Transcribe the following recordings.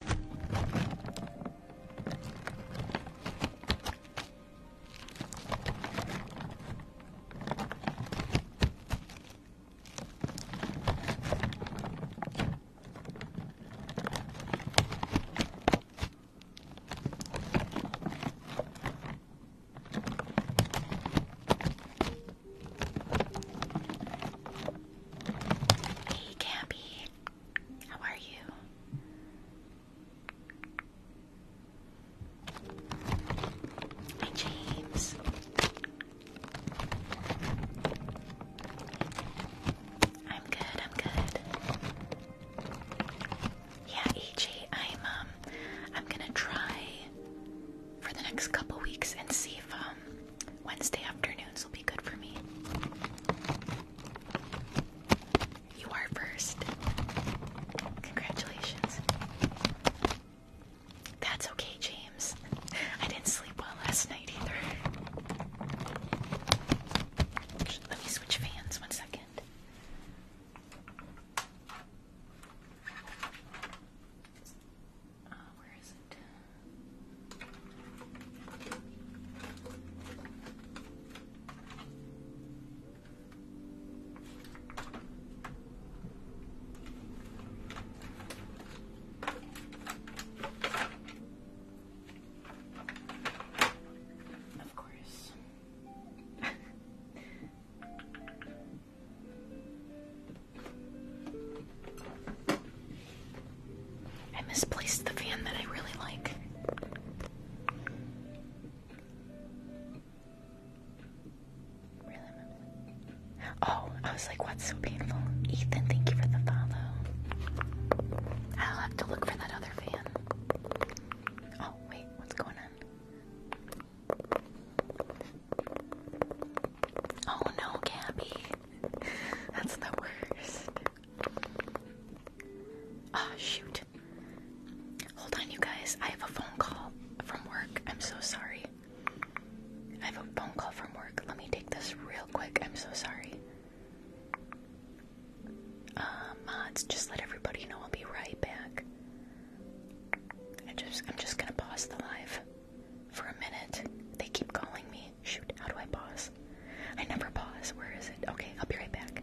He can't be how are you? Hi, James. I'm good, I'm good. Yeah, AJ. I'm um I'm gonna try for the next couple weeks and see if um Wednesday afternoons will be good for me. You are first. Congratulations. That's okay, James. I didn't sleep well last night either. Let me switch fans one second. Uh, where is it? Of course. I misplaced the fan that I really like. Oh, I was like, what's so painful? Ethan, thank you for the follow. I'll have to look for that other fan. Oh, wait, what's going on? Oh no, Gabby. That's the worst. Ah, shoot. Hold on, you guys. I have a phone call from work. I'm so sorry. I have a phone call from work. Let me take this real quick. I'm so sorry. Uh, mods, just let everybody know I'll be right back. I just, I'm just gonna pause the live for a minute. They keep calling me. Shoot, how do I pause? I never pause. Where is it? Okay, I'll be right back.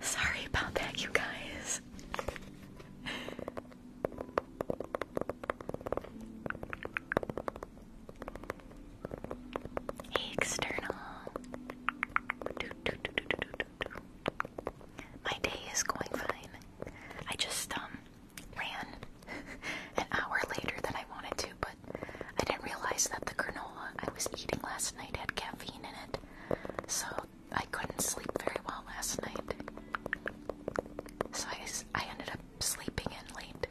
Sorry about that, you guys. external. Do, do, My day is going fine. I just um ran an hour later than I wanted to, but I didn't realize that the granola I was eating last night had caffeine in it, so I couldn't sleep very well last night. So I, I ended up sleeping in late.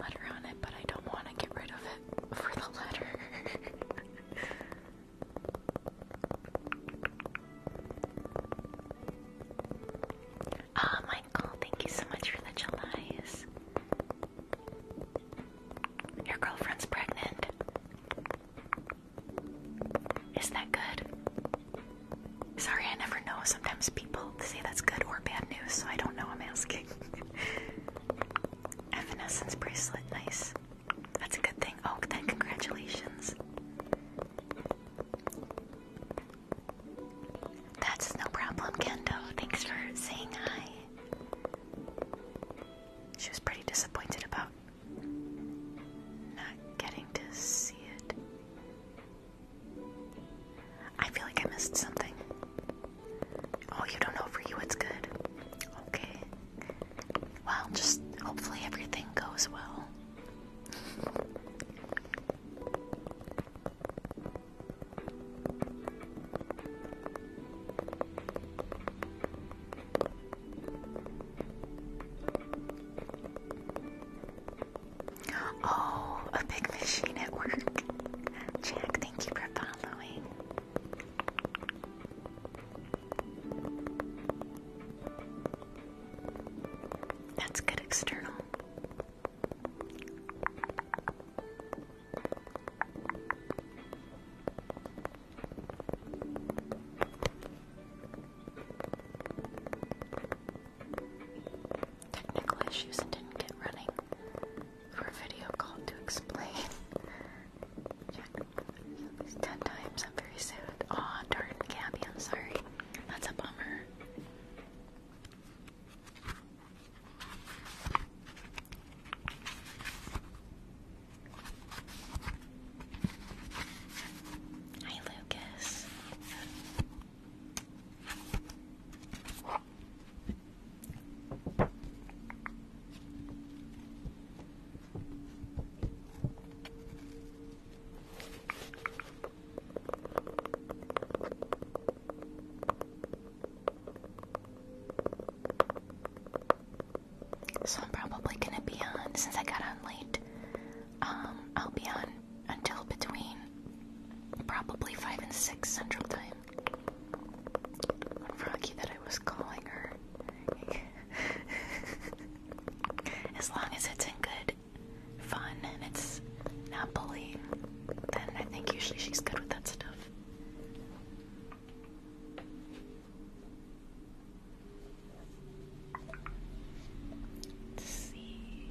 Letter on it, but I don't want to get rid of it for the letter. Ah, Michael, thank you so much for the Julys. Your girlfriend's pregnant. Is that good? Sorry, I never know. Sometimes people say that's good or bad news, so I don't know. I'm asking. Evanescence bracelet, nice. That's a good thing. Oh, then congratulations. That's no problem, Kendo. Thanks for saying hi. She was pretty disappointed about not getting to see it. I feel like I missed something. Oh, you don't know for you it's good. Okay. Well, just hopefully everything goes well. Oh, a big machine at work. Jack, thank you for following. That's good external. Technical issues and didn't get running for a video call to explain. ten times. I'm very sad. Aw, darn, Gabby, I'm sorry. That's a bummer. Hi, Lucas. So I'm probably gonna be on since I got on late. Um, I'll be on until between probably five and six central time. Froggy that I was calling her. as long as it's in good fun and it's not bullying, then I think usually she's good with that stuff. Let's see.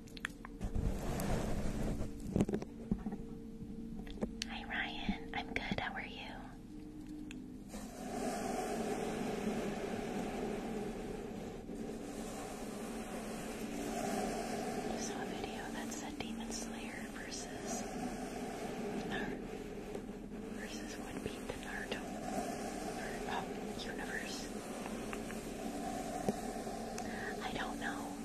Hi Ryan, I'm good. How are you? saw a video that said Demon Slayer versus versus would beat the Naruto or, uh, universe. I don't know.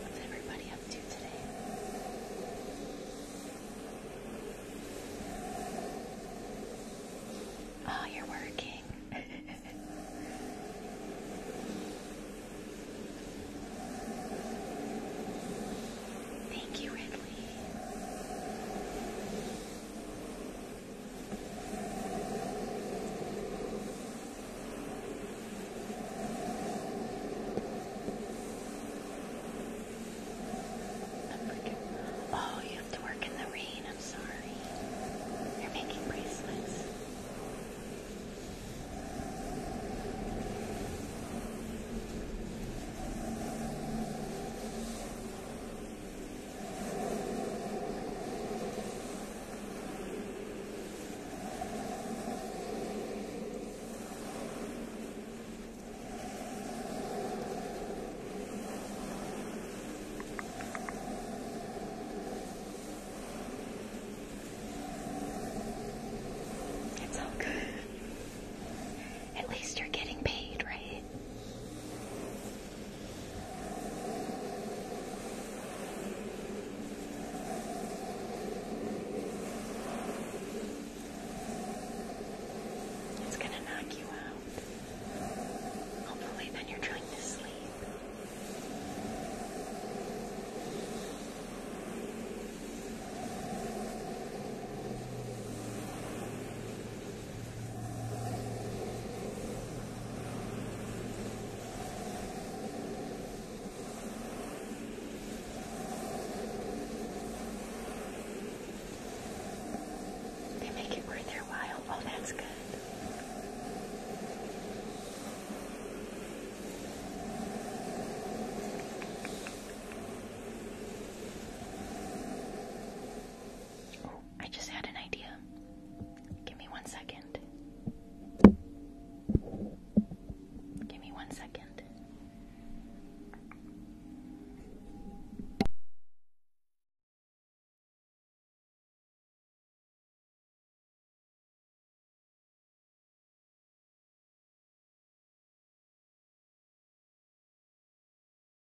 What's everybody up to today? Oh, you're working. Thank you, Ridley. Oh, you have to work in the rain. I'm sorry. You're making bracelets. It's all good. At least you're getting paid, right? It's going to knock you out. Hopefully, then you're trying to sleep. They make it worth their while. Oh, that's good. Oh, I just had an idea. Give me one second. Give me one second.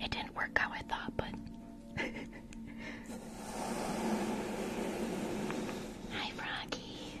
It didn't work how I thought, but. Hi, Froggy.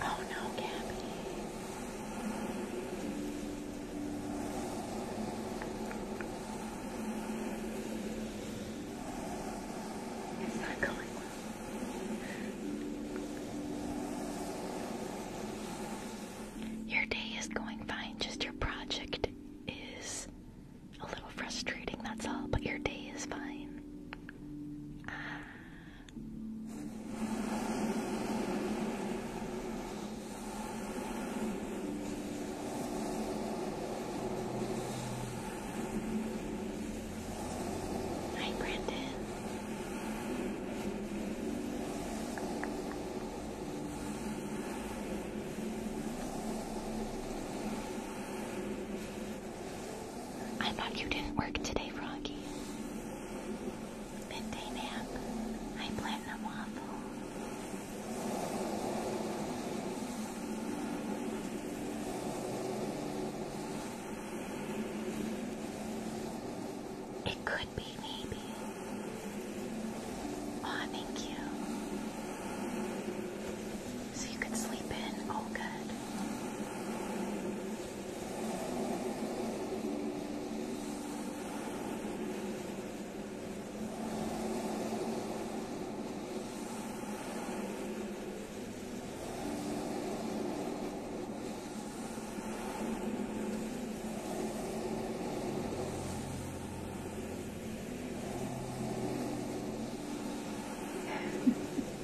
Oh no, Gabby. It's not going well. Your day is going fine, just your project is a little frustrating, that's all, but your day is fine. Ah. Hi, Brandon. I thought you didn't work today, Froggy. Midday nap. I platinum waffle. It could be, maybe. Oh, you. So you could sleep in. All good.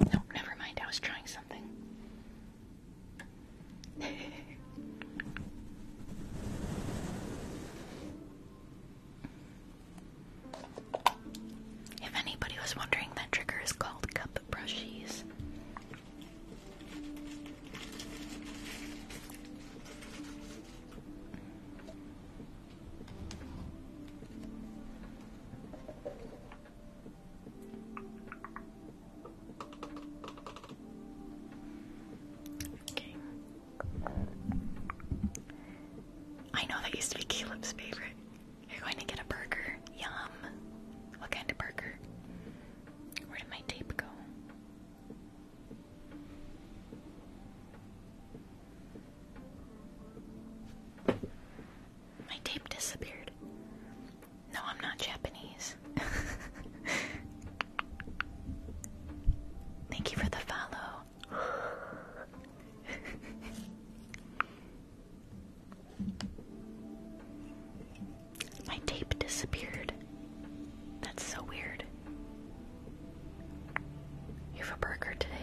No, oh, never mind. I was trying something. If anybody was wondering, that trigger is called cup brushies. Okay. I know that used to be Caleb's favorite. You're going to get a burger. Yum. What kind of burger? Where did my tape go? My tape disappeared. No, I'm not Japanese. Thank you for the follow. My tape disappeared. That's so weird. You have a burger today.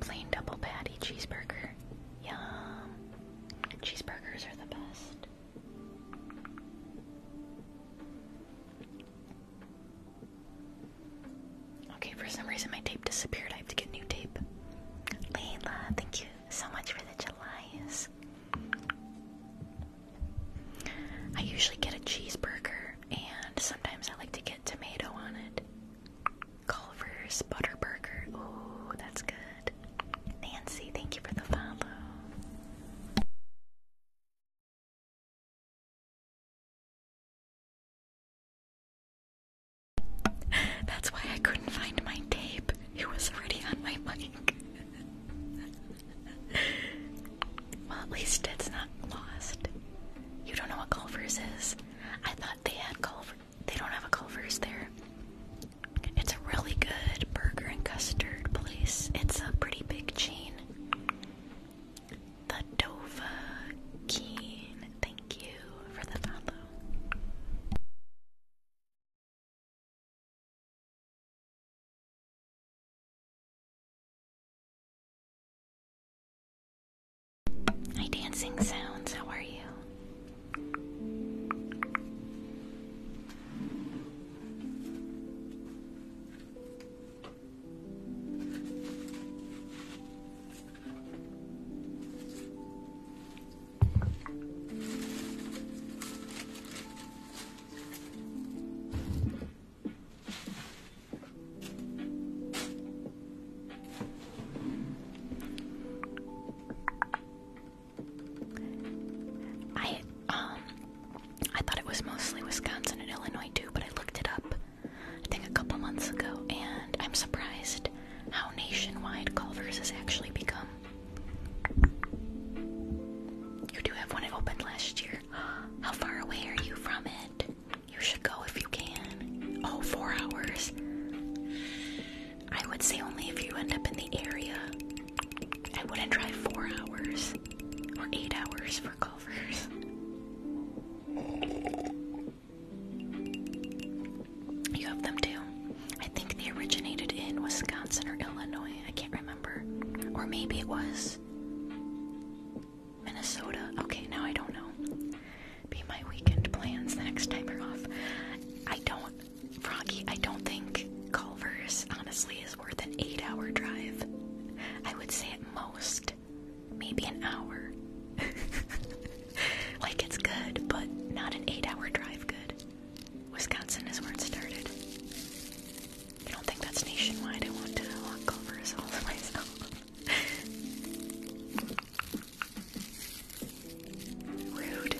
Plain double patty cheeseburger. Yum. Cheeseburgers are the best. Okay, for some reason my tape disappeared. I have to get new tape. Layla, thank you so much for the Julys. I usually get a cheeseburger, and sometimes I like to get tomato on it. Culver's Butterburger. Ooh, that's good. Nancy, thank you for the follow. That's why I couldn't find my tape. It was already on my mic. well, at least it's not lost. You don't know what Culver's is. I thought they had Culver. They don't have a Culver's there. It's a really good burger and custard place. It's a pretty big chain. The Dova Keen, thank you for the follow. Hi, Dancing Sounds, how are you? I um I thought it was mostly Wisconsin and Illinois too, but I looked it up I think a couple months ago, and I'm surprised how nationwide Culver's has actually become. You do have one it opened last year. How far away are you from it? You should go if you can. Oh, four hours. I would say only if you end up in the area. I wouldn't drive four hours or eight hours for Culver's. You have them too. I think they originated in Wisconsin or Illinois. I can't remember. Or maybe it was Minnesota. Okay, now I don't know. Be my weekend plans the next time you're off. I don't, Froggy, I don't think Culver's honestly is worth an eight hour drive. I would say at most maybe an hour. like it's good, but not an eight-hour drive. Good. Wisconsin is where it started. I don't think that's nationwide. I want to walk over as all to myself. Rude.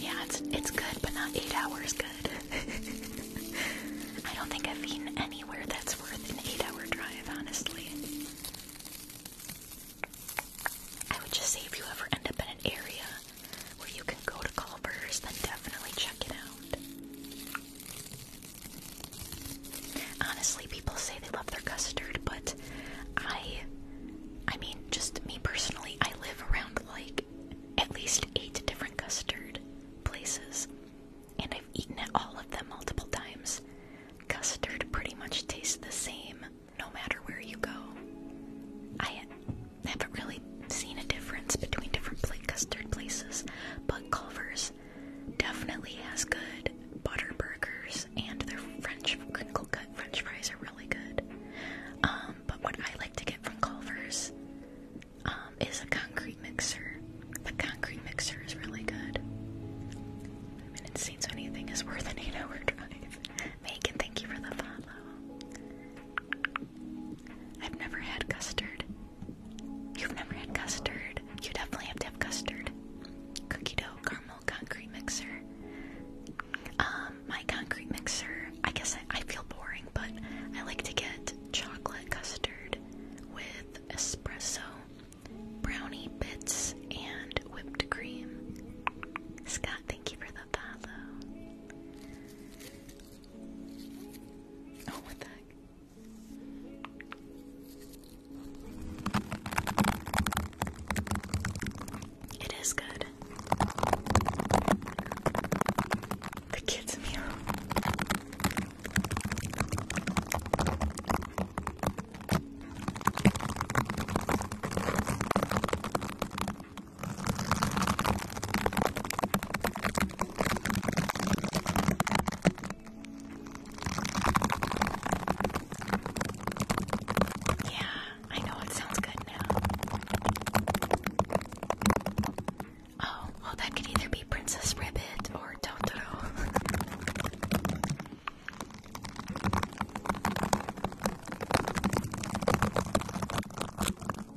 Yeah, it's it's good, but not eight hours good. I don't think I've eaten anywhere that's worth an eight-hour drive, honestly. I would just say if you ever end up in an area where you can go to Culver's, then definitely check it out. Honestly, people say they love their custard, but I, I mean, just me personally, I live around like at least eight different custard places, and I've eaten at all of them multiple times. Custard pretty much tastes the same no matter where you go. I I haven't really seen a difference between different plate custard places, but Culver's definitely has good butter burgers, and their French crinkle cut French fries are really good. Um, but what I like to get from Culver's um, is a concrete mixer. The concrete mixer is really good. I mean, it seems anything is worth an eight-hour drive. Megan, thank you for the follow. I've never had custard. You've never had custard. You definitely have to have custard. Cookie dough, caramel, concrete mixer. Um, my concrete mixer, I guess I, I feel boring, but I like to get chocolate custard with espresso, brownie bits, and whipped cream. Scott, thank you for the follow. Oh, what the heck? It is good. The kids' meal. Yeah, I know it sounds good now. Oh, well, that could either be Princess Ribbit or Totoro.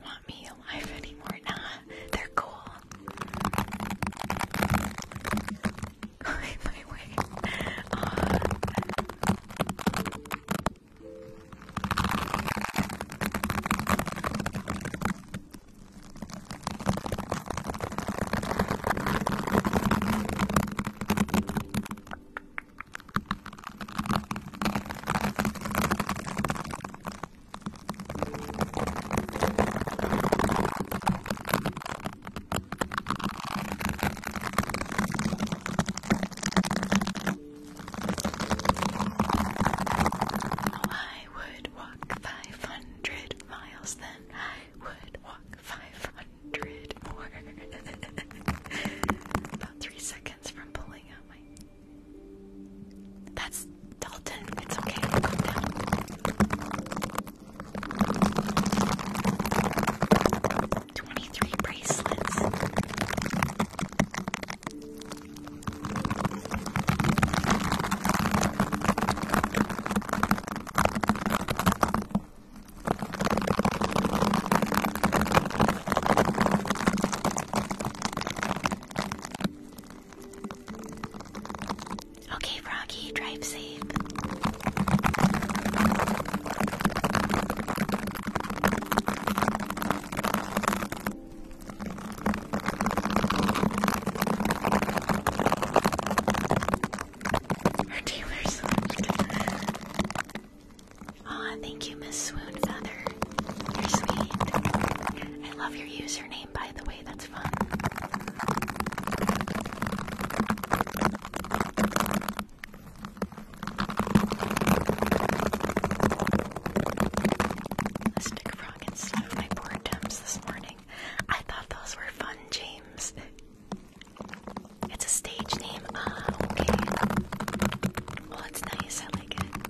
want me alive anymore. Nah, they're cool. my way. I would walk 500 miles, then I would walk 500 more. About three seconds from pulling out my that's Dalton. It's okay. Twenty-three bracelets. Okay, Froggy, drive safe. Her Taylor Swift. Aw, thank you, Miss Swoon Feather. You're sweet. I love your username by the way. That's fun. A frog instead my board temps this morning. I thought those were fun, James. It's a stage name. Ah, okay. Well, it's nice. I like it.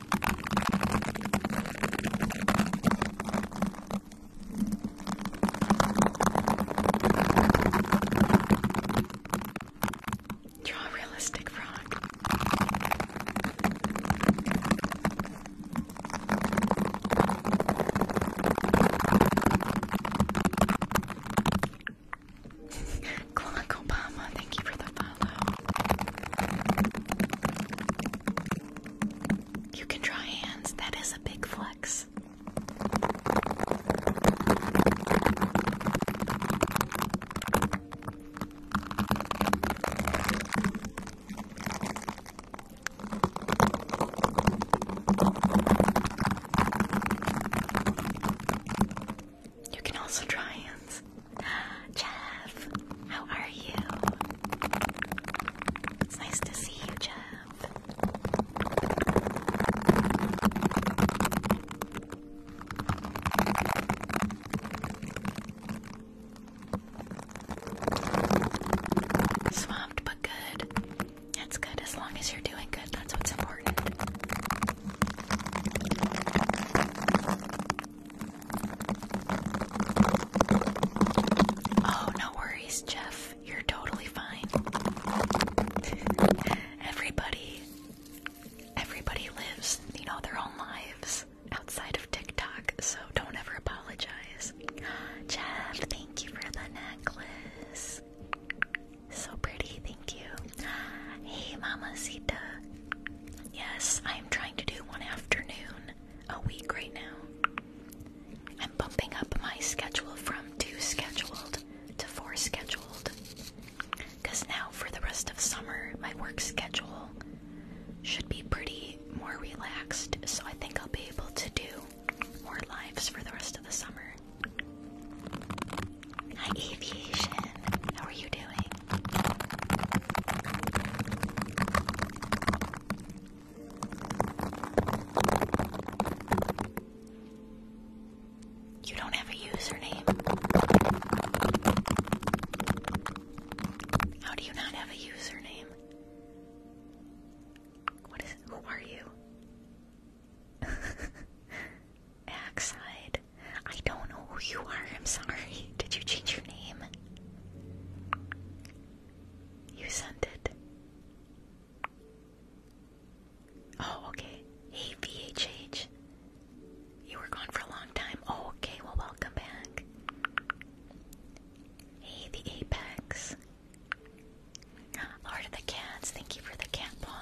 Draw realistic frog. Clark Obama, thank you for the follow. You can draw hands. That is a big flex. You can also draw hands. Jeff, how are you? It's nice to see you, Jeff. Swamped but good. That's good as long as you're doing good. That's what's important. Oh, no worries, Jeff. You're totally fine. everybody, everybody lives, you know, their own lives outside of TikTok, so don't ever apologize. Jeff, thank you for the necklace. So pretty, thank you. Hey, Mama Mamacita. Yes, I am trying to do one afternoon a week right now. I'm bumping up my schedule from two scheduled to four scheduled. Because now, for the rest of summer, my work schedule should be pretty more relaxed, so I think I'll be able to do more lives for the rest of the summer. Hi, Aviation. How are you doing? You don't have a username. How do you not have a username? What is who are you? Axide. I don't know who you are. I'm sorry. Did you change your name? You sent it. Oh, okay. Hey, VHH. You were gone for a long time. Oh, okay. Well, welcome back. Hey, the Apex. Lord of the Cats, thank you for the cat paw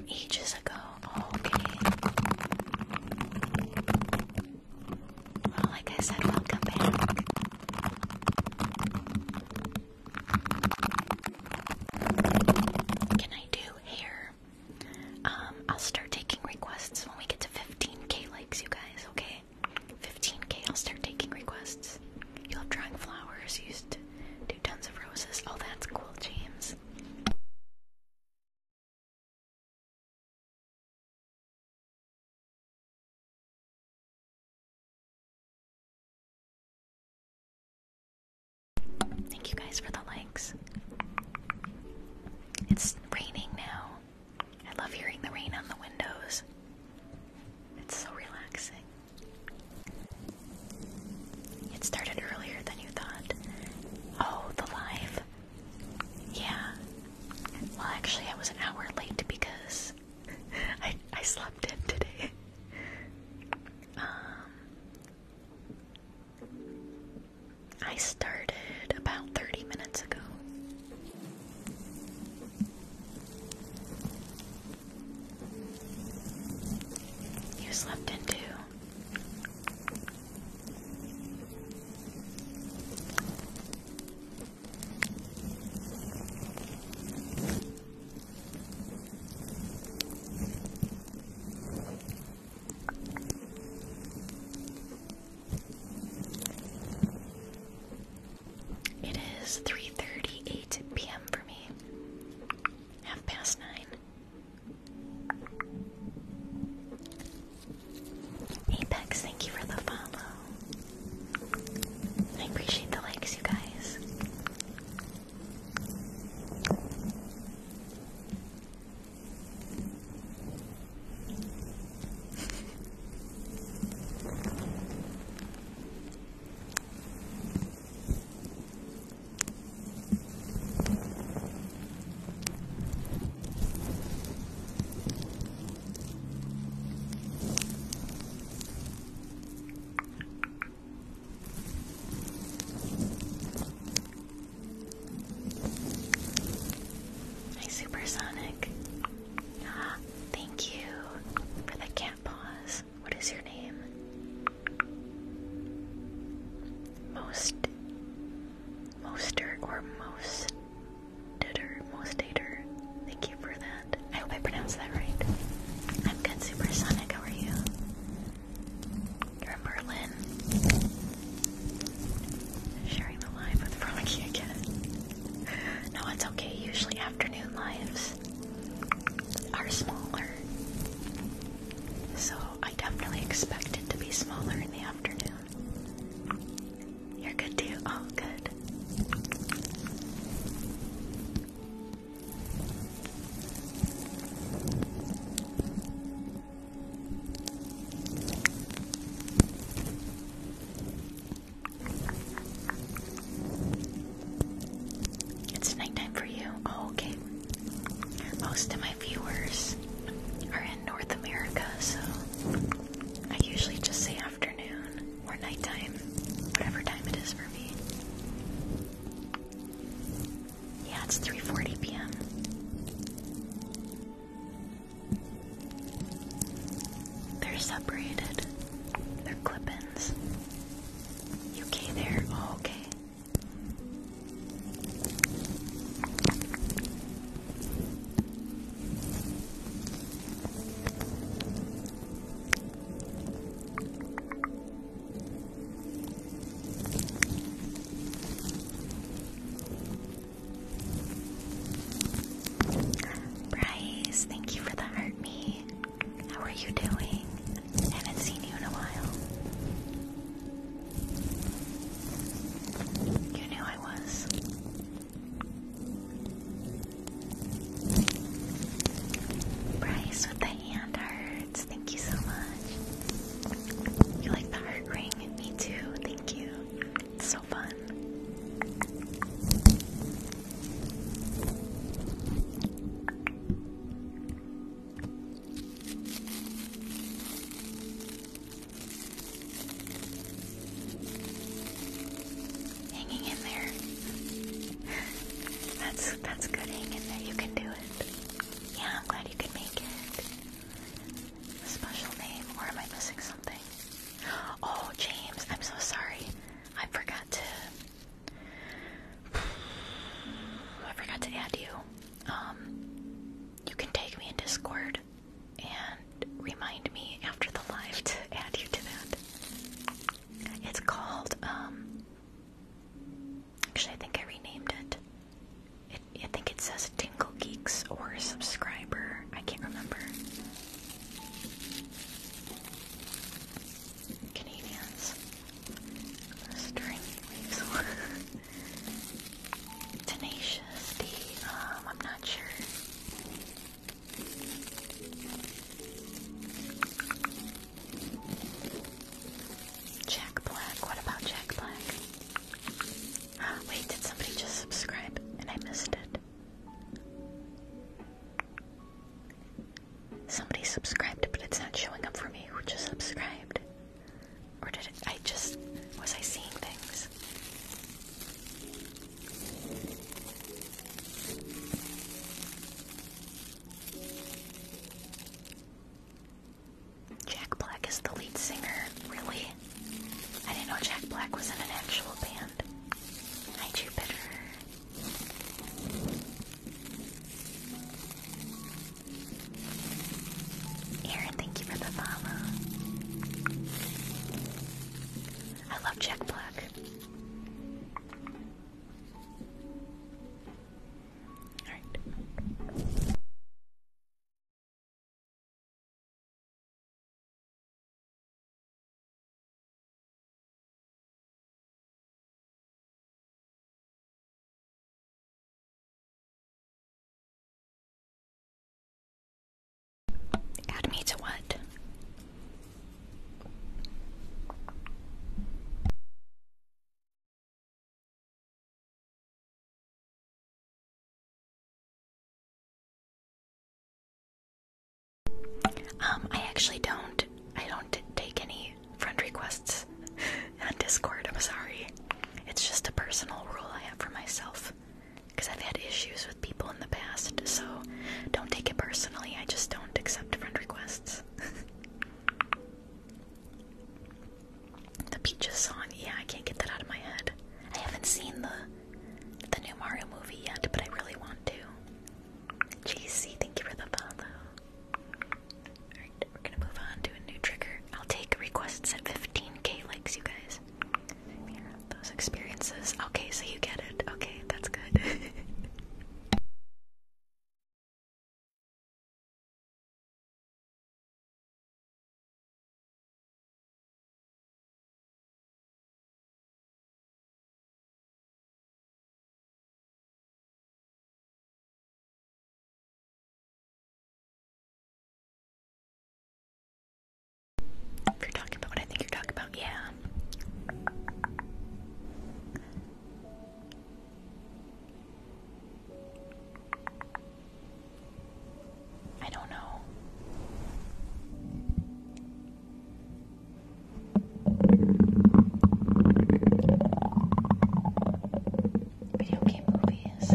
from ages ago. okay. Well, like I said, welcome back. Can I do hair? Um, I'll start taking requests when we get to 15k likes, you guys, okay? 15k, I'll start taking requests. You love drawing flowers, used to tons of roses. Oh, that's cool, James. Thank you guys for the likes. It's raining now. I love hearing the rain on the windows. It's so relaxing. It started earlier than you thought. Oh, the live? Yeah. Well, actually, I was an hour late because I, I slept in today. Um, I started about 30 minutes ago. You slept in too. It is 3:38 p.m. for me. Half past 9. Apex, thank you for the follow. I appreciate the likes, you guys. Hi, Supersonic. Ah, thank you for the cat pause. What is your name? Most Moster or most Ditter, most dater. Thank you for that. I hope I pronounced that right. I'm good, Supersonic. How are you? You're in Berlin. Sharing the live with Frolicky again. No, it's okay. Usually afternoon lives are smaller. So I definitely expect it to be smaller in the afternoon. You're good too? All oh, good. It's nighttime for you. Oh, okay most of my viewers are in North America, so I usually just say afternoon or nighttime, whatever time it is for me. Yeah, it's 3:40 p.m. They're separated. They're clip-ins. You UK there. Oh, okay. Bryce, thank you for the heart me. How are you doing? Haven't seen you in a while. You knew I was. Bryce with the hand hearts. Thank you so much. You like the heart ring? Me too. Thank you. It's so fun. Hanging in there. that's that's good hanging there. You can do it. Yeah, I'm glad you could make it. special name, or am I missing something? Oh, James, I'm so sorry. I forgot to I forgot to add you. Um, you can take me in Discord and remind me after the live to add you to that. It's called, um, actually, I think I renamed it. it I think it says Tingle Geeks or Subscriber. I can't remember. Canadians. Strength leaves Tenacious D, um, I'm not sure. Jack Black, what about Jack Black? wait, did somebody just subscribe and I missed it? Somebody subscribed, but it's not showing up for me who just subscribed. Or did I just, was I seeing things? Jack Black is the lead singer, really? I didn't know Jack Black was in an actual band. Hi better. Aaron, thank you for the follow. I love Jack Alright. Add me to what? Um, I actually don't. I don't take any friend requests on Discord. I'm sorry. It's just a personal rule I have for myself because I've had issues with people in the past, so don't take it personally. I just don't accept friend requests. the Peaches song, yeah, I can't get that out of my head. I haven't seen the the new Mario movie yet, but I really want to. GC, thank you for the follow we're gonna move on to a new trigger. I'll take requests at 15k likes, you guys. those experiences. Okay, so you get it. Okay, that's good. If you're talking about I think you're talking about, yeah. I don't know video game movies.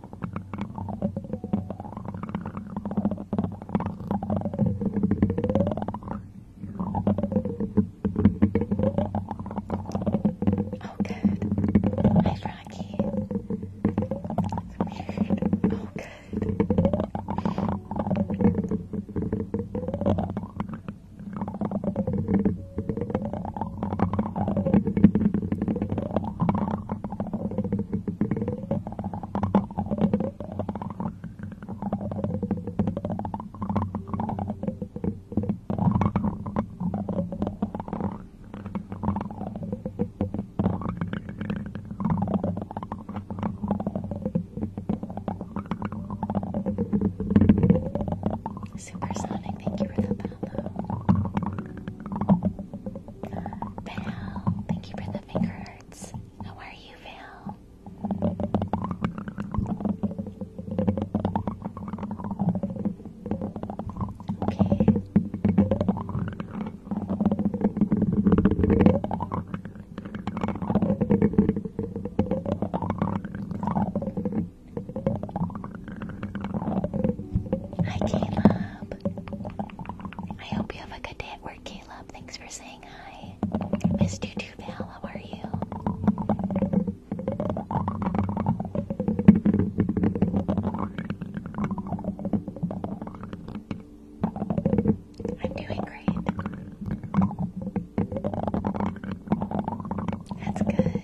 Oh, good. Hi, Rocky. Weird. Oh, good. Supersonic, thank you for the follow. Val, thank you for the finger hearts. How are you, Val? Okay. Hi, Caleb. I hope you have a good day at work, Caleb. Thanks for saying hi. Missed you How are you? I'm doing great. That's good.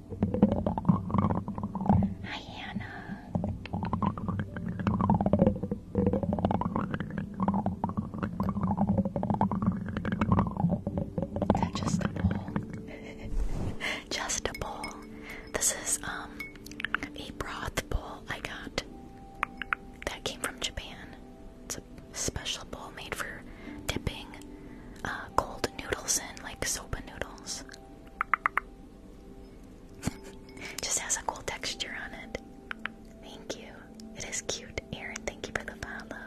Hi, Hannah. That's just a bowl. just a bowl. This is um a broth bowl I got that came from Japan. It's a special bowl made for dipping uh, cold noodles in, like soba noodles. Just has a cool texture on it. Thank you. It is cute. Aaron, thank you for the follow.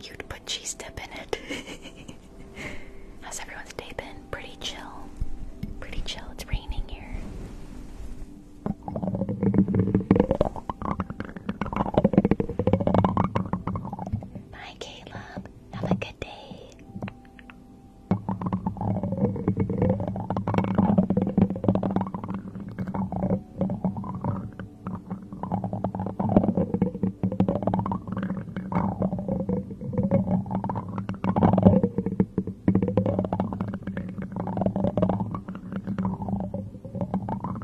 You'd put cheese dip in it. How's everyone's day been? Pretty chill. Pretty chill. It's raining here. Bye, Caleb. Have a good day.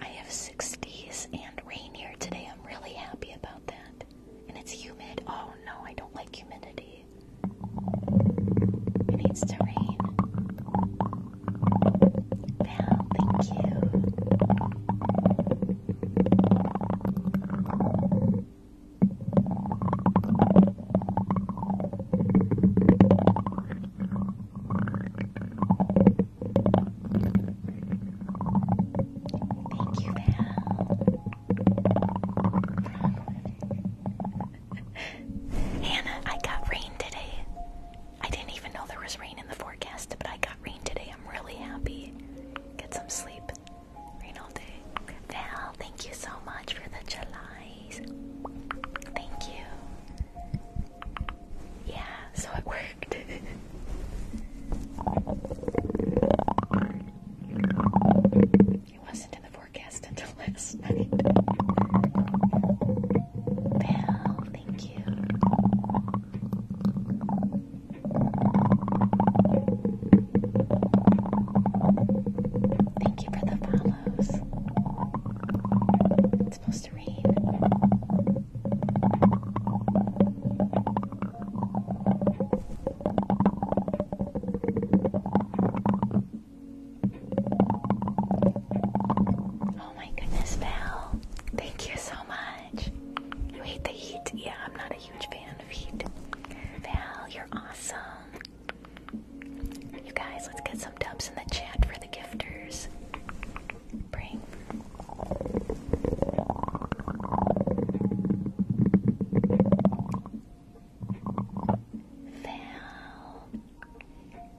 I have 60s and rain here today. I'm really happy about that. And it's humid. Oh no, I don't like humidity. It needs to rain. Val, thank you. Thank you, Hannah. Hannah, I got rain today. I didn't even know there was rain in the forecast, but I got rain today. I'm really happy. Get some sleep. Rain all day. Val, thank you so much for the Julys. Thank you. Yeah, so it worked. it wasn't in the forecast until last night. Belle, thank you. Thank you for the follows. Oh my goodness, Belle. Thank you so much. You hate the heat? Yeah, I'm not a huge fan of heat. Val, you're awesome. You guys, let's get some dubs in the chat for the gifters. Val,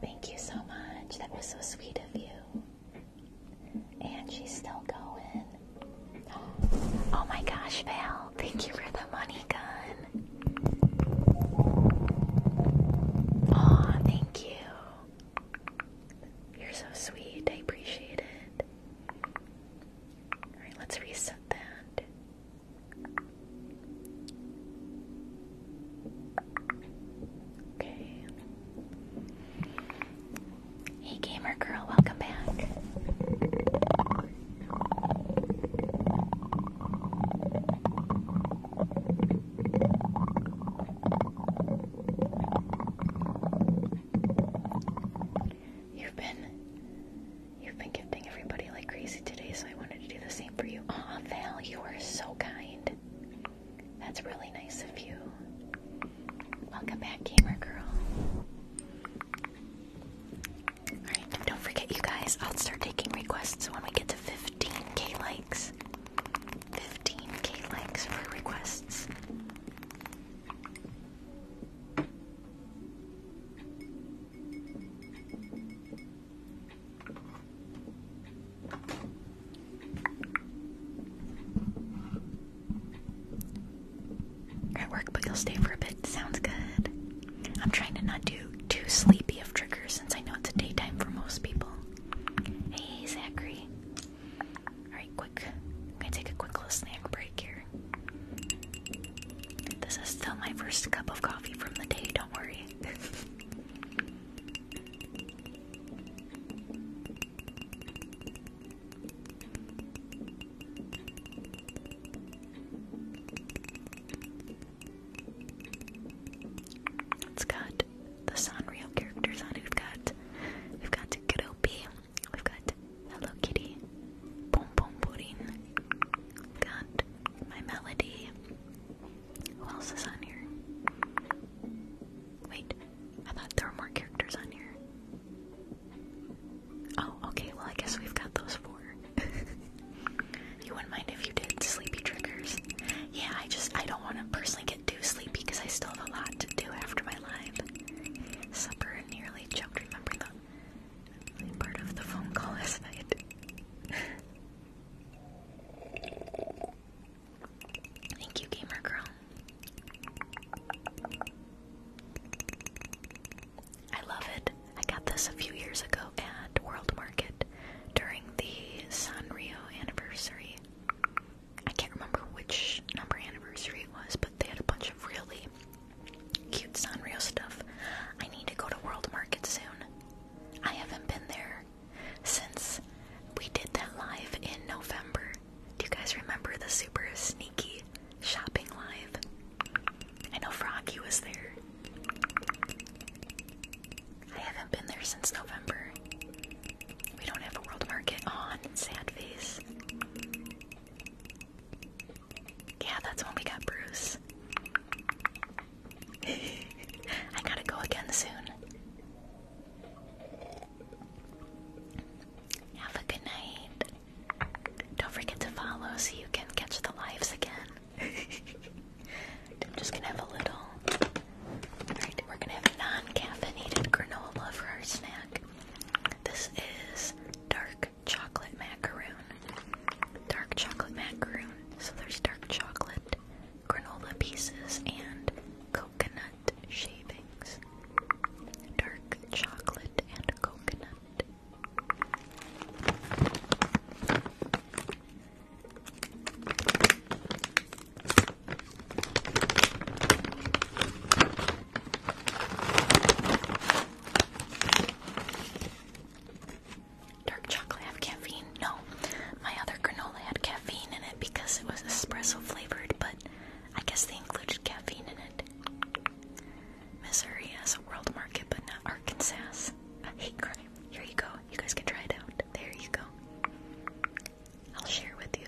thank you so much. That was so sweet of you. And she's still going. Oh my gosh, Val, thank you for the money gun. Aw, thank you. You're so sweet. I appreciate it. Alright, let's reset that. Okay. Hey, gamer girl, welcome back. You've been you've been gifting everybody like crazy today, so I wanted to do the same for you. Aw, Val, you are so kind. That's really nice of you. Welcome back, gamer girl. Alright, don't forget you guys, I'll start taking requests when we get to 15k likes. 15k likes for requests. at work, but you'll stay for a bit. Sounds good. I'm trying to not do too sleepy of triggers since I know it's a daytime for most people. Hey, Zachary. Alright, quick. i take a quick little snack break here. This is still my first cup of coffee from the day, don't worry. it's good the Sanrio characters on it. We've got we've got Groupie, we've got Hello Kitty, Pom Pom Pudding, got My Melody. Who else is on here? Wait, I thought there were more characters on here. Oh, okay, well I guess we've got those four. you wouldn't mind if you did sleepy triggers. Yeah, I just I don't want to personally get get too sleepy because I still have a lot to do after my live. Supper nearly choked. Remember the part of the phone call last night. Thank you, gamer girl. I love it. I got this a few years ago at World Market during the Sanrio anniversary. I can't remember which number anniversary it was, but they had a bunch of really cute Sanrio stuff. I need to go to World Market soon. I haven't been there since we did that live in November. Do you guys remember the super sneaky shopping live? I know Froggy was there. I haven't been there since November. We don't have a world market on. sand face. Yeah, that's when we got Bruce. I gotta go again soon. Have a good night. Don't forget to follow so you can catch the lives again. I'm just gonna have a little Alright, we're gonna have non-caffeinated granola for our snack. This is dark chocolate macaroon. Dark chocolate macaroon. So there's dark chocolate, granola pieces, and coconut shavings. Dark chocolate and coconut. Dark chocolate have caffeine? No. My other granola had caffeine in it because it was espresso flavored, but I guess they included caffeine in it. Missouri has a world market, but not Arkansas. I hate crime. Here you go. You guys can try it out. There you go. I'll share with you.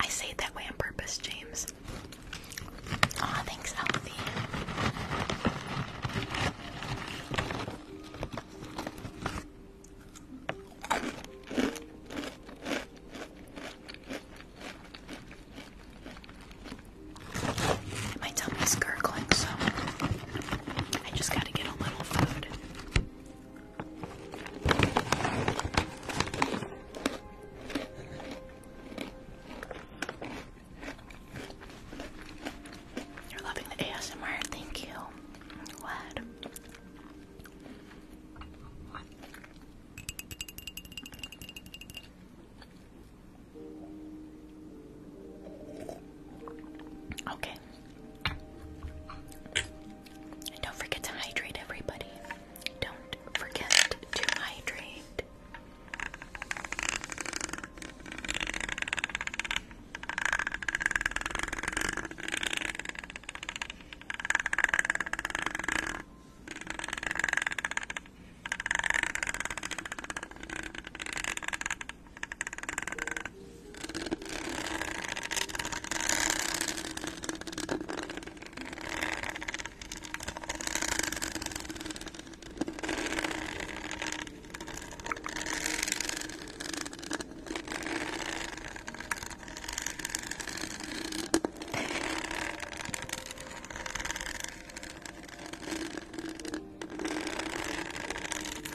I say it that way on purpose, James. Aw, thanks, Alfie. My tummy's gurgling, so I just gotta get a little food. You're loving the ASMR, thank you. glad. Okay, don't forget to hydrate, everybody. Don't forget to hydrate.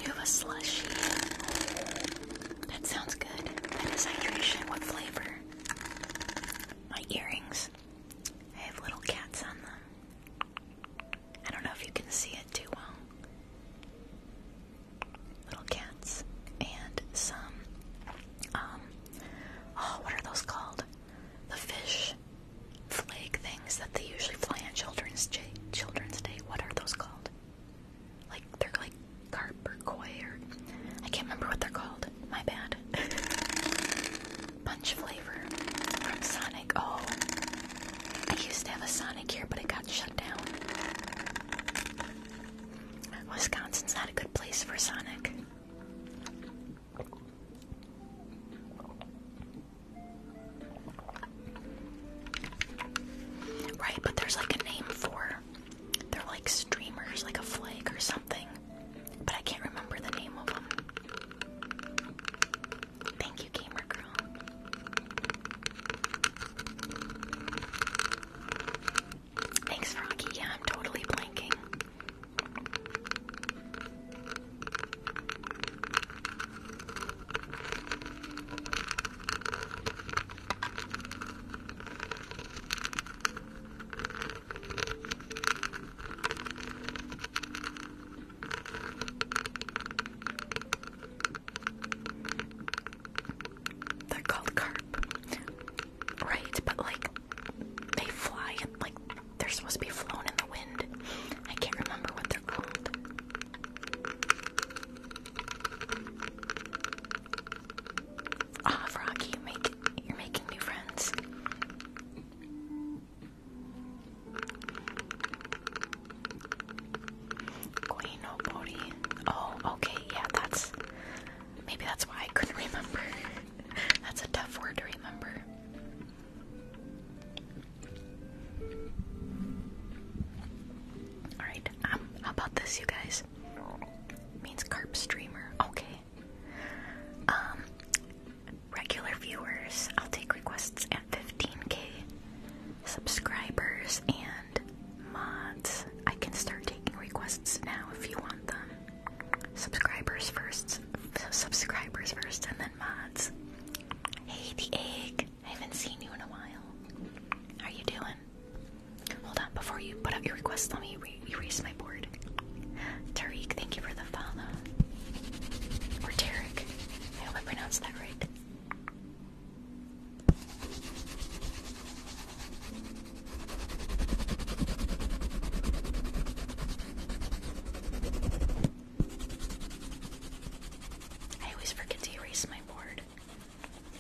You have a slushy. That sounds good. That is hydration. What flavor? My earrings. I have little cats on them. I don't know if you can see it too well. Little cats and some um oh what are those called? The fish flake things that they usually fly on children's ch children's day. What are those called? Like they're like carp or koi or I can't remember what they're called. My bad. Punch flavor from Sonic. Oh, I used to have a Sonic here, but it got shut down. Wisconsin's not a good place for Sonic. Right, but there's like a name for they're like streamers, like a flag or something. But I can't remember the name of them. Thank you, gamer girl. Thanks, Rocky. Yeah, I'm totally blanking. They're called carp, right? But like they fly and like they're supposed to be flown in the wind. I can't remember what they're called. Ah, oh, Rocky, you are making new friends. Koinobori. Oh, oh, okay, yeah, that's maybe that's why I couldn't remember. that's a tough word to remember. Alright, um, how about this, you guys? means carp streamer. Okay. Um, regular viewers, I'll take requests at 15k. Subscribers and mods, I can start taking requests now if you want them. Subscribers first, subscribers first, and then mods. Hey, the egg. I haven't seen you in a while. How are you doing? Hold on, before you put up your request, let me erase my board. Tariq, thank you for the follow. Or Tarek. I hope I pronounced that right. I always forget to erase my board.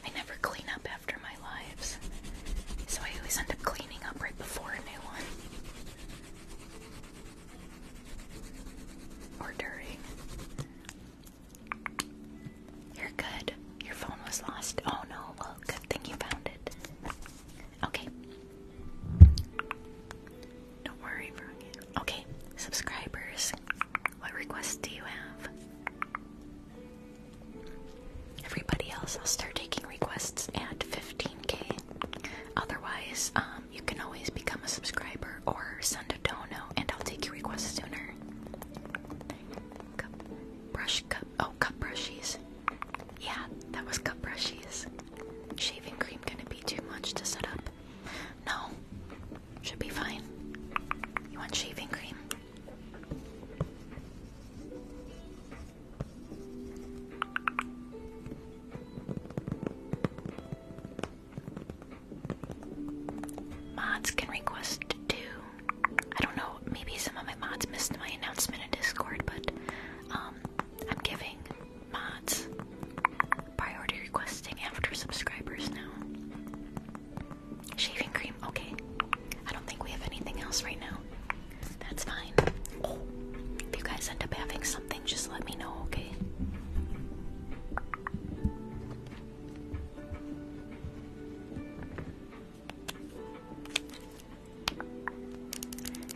I never clean up after my lives, so I always end up cleaning up right before a new one. Or during. You're good. Your phone was lost. Oh no, well, good thing you found it. Okay. Don't worry, Brian. Okay, subscribers, what requests do you have? Everybody else, I'll start taking requests at 15k. Otherwise, um, you can always become a subscriber or send a dono, and I'll take your request sooner. Cup, brush cup. Oh, cup brushies. Yeah, that was cup brushies. Shaving cream gonna be too much to set up. No, should be fine. You want shaving cream? Mods can request too. I don't know, maybe some of my mods missed my announcement in Discord, but um, I'm giving mods priority requesting after subscribers now. Shaving cream, okay. I don't think we have anything else right now. That's fine. Oh, if you guys end up having something, just let me know, okay?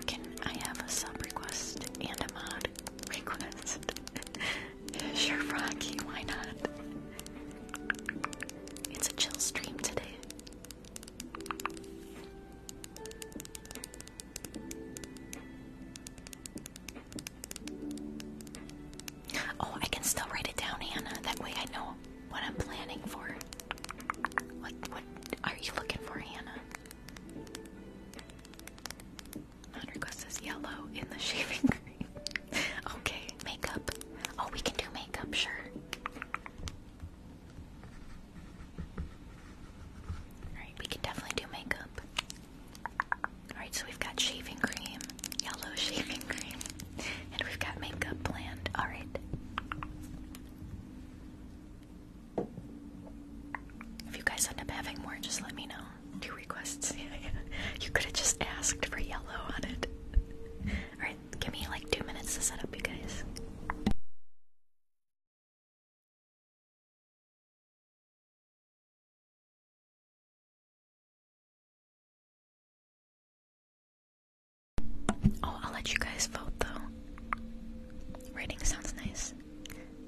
Can I have a sub request and a mod request? Sure, Froggy, why not? It's a chill stream today. Oh, I can still write it down, Hannah. That way I know what I'm planning for. What what are you looking for, Hannah? Mod request is yellow in the shaving cream okay, makeup. Oh, we can do makeup, sure. Alright, we can definitely do makeup. Alright, so we've got shaving cream, yellow shaving cream, and we've got makeup planned. Alright. If you guys end up having more, just let me know. New requests. Yeah, you could have just asked for yellow on it. Alright, give me like two minutes to set up, you guys. Oh, I'll let you guys vote though. Rating sounds nice.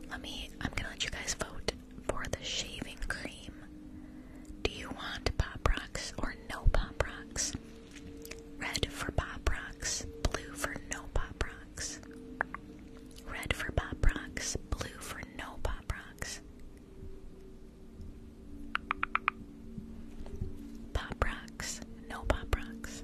Let me, I'm gonna let you guys vote for the shaving cream. Do you want pop rocks or no pop rocks? Red for pop rocks, blue for no pop rocks. Red for pop rocks, blue for no pop rocks. Pop rocks, no pop rocks.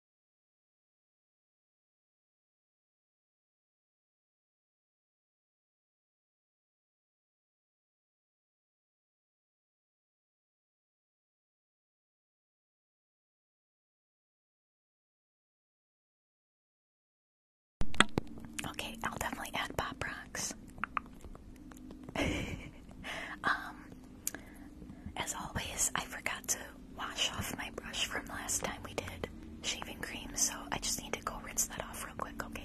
Okay, I'll definitely add pop Rocks. Um, as always, I forgot to wash off my brush from last time we did shaving cream, so I just need to go rinse that off real quick, okay?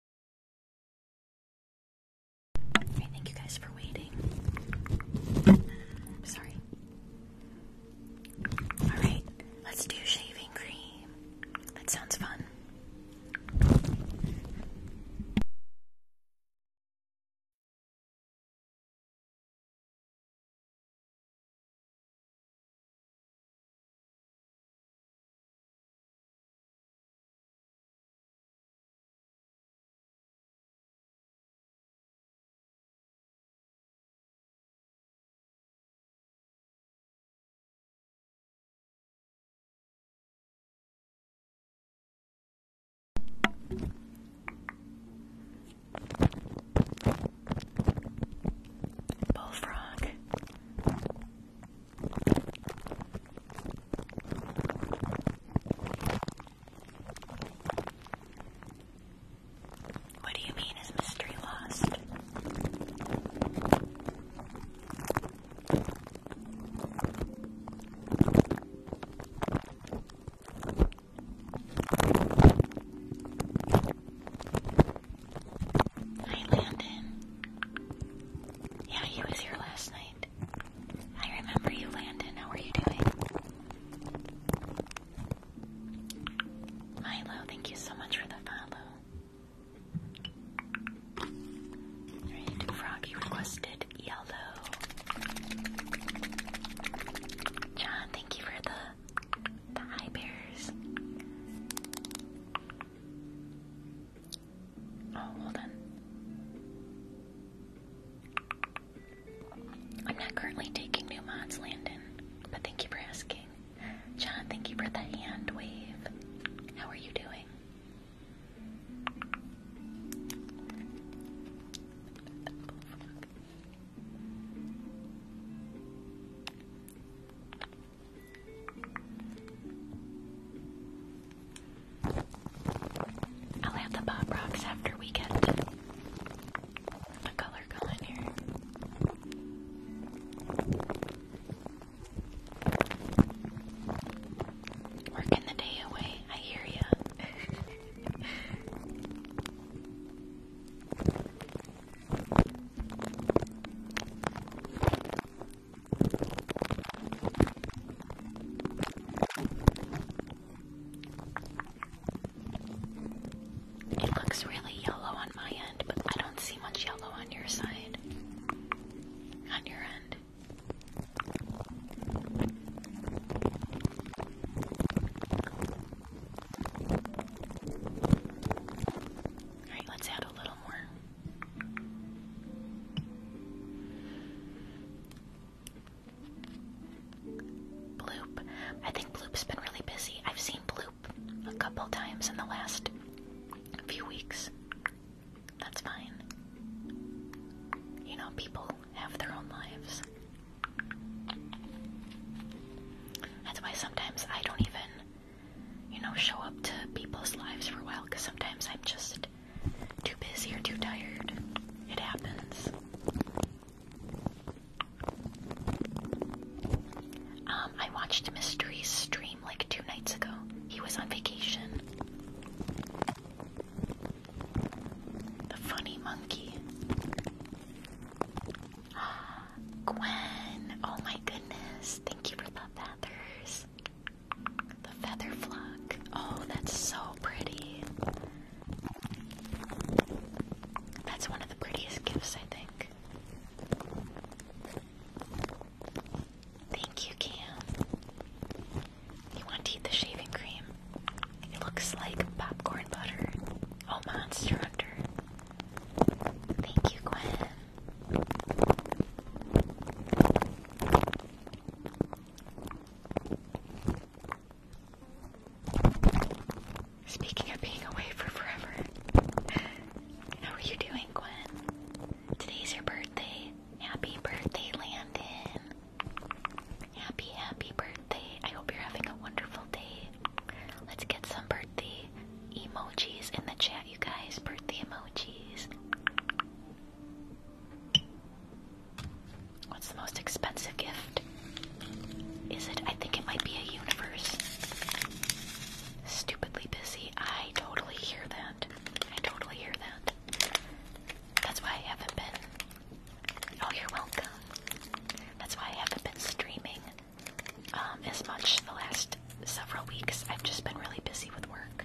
Okay, thank you guys for waiting. sorry. Alright, let's do shaving cream. That sounds fun. Bullfrog. What do you mean is mystery lost? Hi Landon. Yeah, he was here last night. I remember you, Landon. How are you doing? Milo, thank you so much for the follow. Alright, Froggy requested yellow. John, thank you for the the high bears. Oh, well then. I'm not currently taking new mods, Landon, but thank you for asking. John, thank you for the hand wave. How are you doing? I'll have the pop rocks after we get the color going here. Working the day away, I hear ya. It looks really yellow on my end, but I don't see much yellow on your side. On your end. Alright, let's add a little more. Bloop. I think Bloop's been really busy. I've seen Bloop a couple times in the last few weeks. That's fine. You know, people have their own lives. That's why sometimes I don't even, you know, show up to people's lives for a while because sometimes I'm just too busy or too tired. It happens. Um, I watched Mystery's stream like two nights ago. He was on vacation. The funny monkey. Gwen, oh my goodness. Thank you for the feathers. The feather flock. Oh, that's so pretty. That's one of the prettiest gifts, I think. Thank you, Cam. You want to eat the shaving cream? It looks like popcorn butter. Oh, Monster Hunter. Thank you, Gwen. Speaking of being away for forever, how are you doing, Gwen? Today's your birthday. Happy birthday, Landon. Happy, happy birthday. I hope you're having a wonderful day. Let's get some birthday emojis in the chat, you guys. Birthday emojis. What's the most expensive gift? Is it? I think it might be a universe. Stupidly busy. I totally hear that. I totally hear that. That's why I haven't been. Oh, you're welcome. That's why I haven't been streaming um, as much the last several weeks. I've just been really busy with work.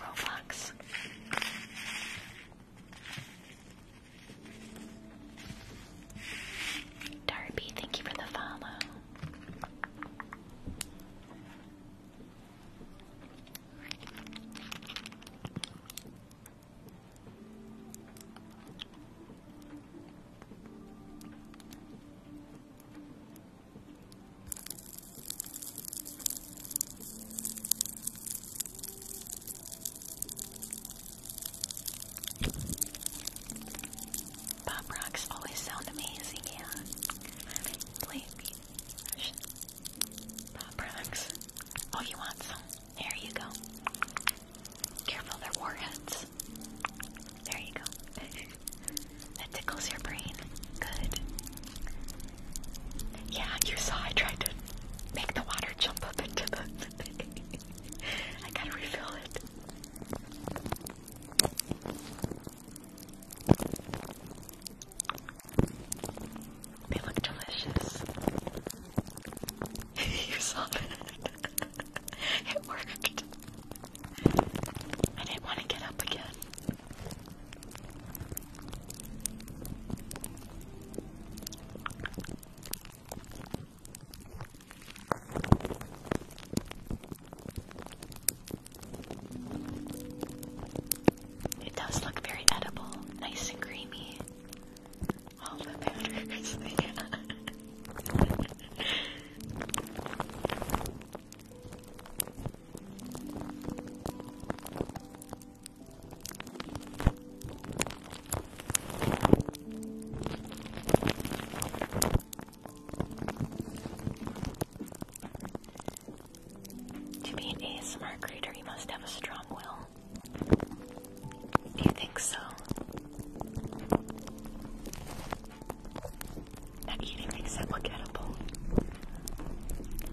Roblox. Darby, thank you for the follow. Pop rocks always sound amazing, yeah. Play Pop rocks. Oh, you want some? There you go. Careful, they're warheads. There you go. that tickles your brain. Good. Yeah, you saw I tried to make the water jump up into the. I gotta refill it. They look delicious. you saw it. it worked. I didn't want to get up again. It does look very edible, nice and creamy. All the powders, yeah. To be an ASMR creator, you must have a strong will. Do you think so? Not eating except look edible.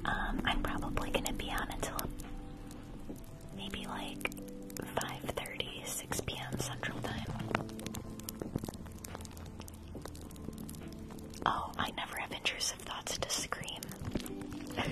Um, I'm probably gonna be on until maybe like 5.30, 6 p.m. Central Time. Oh, I never have intrusive thoughts to scream.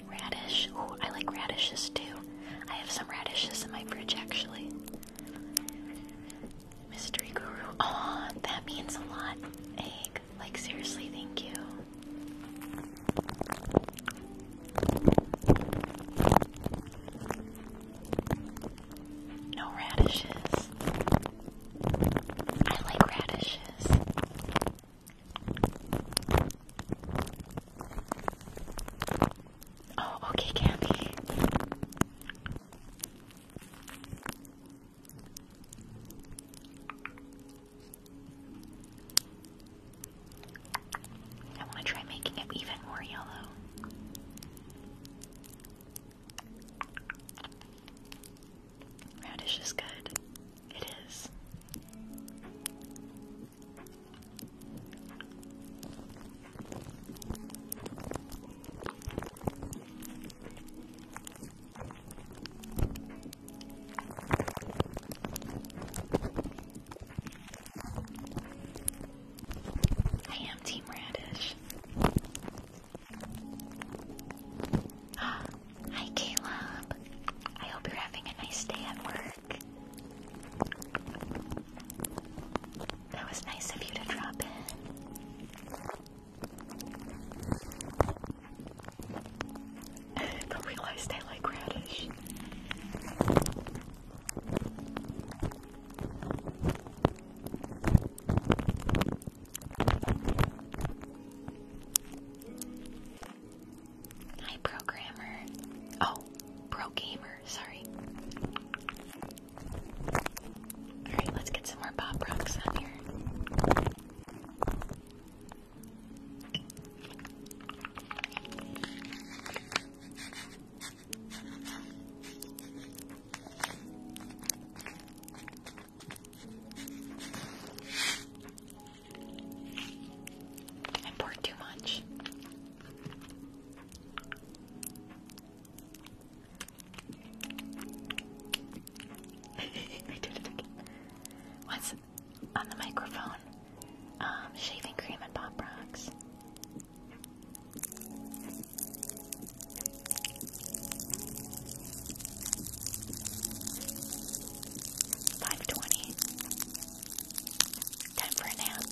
Radish. Ooh, I like radishes too. I have some radishes in my fridge actually. Mystery Guru. Oh, that means a lot. Egg. Like seriously, thank you. No radishes. I like radishes. Oh, okay, Candy. I want to try making it even more yellow. Radish is good. It is. I am Team Radish. Hi, Caleb. I hope you're having a nice day at work. That was nice of you to drop in. but realized I like radish. Hi, programmer. Oh, pro gamer. Sorry. All right, let's get some more Bob Rocks on here. I poured too much. I did on the microphone, um, shaving cream and pop rocks. Five twenty. Time for a nap.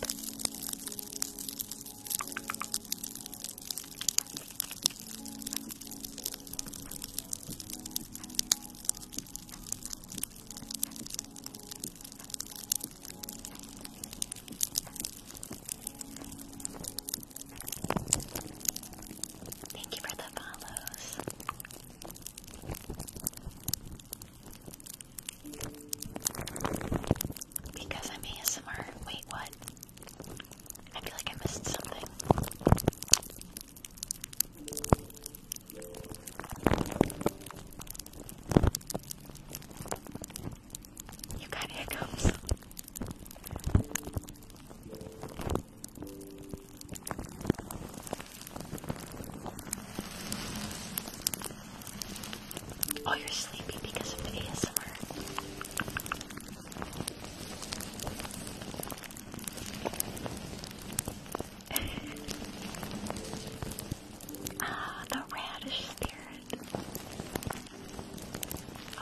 Thank you for the follows. Because I'm ASMR. Wait, what? I feel like I missed something. You got hiccups. Oh, you're sleepy because of the ASMR. ah, the radish spirit.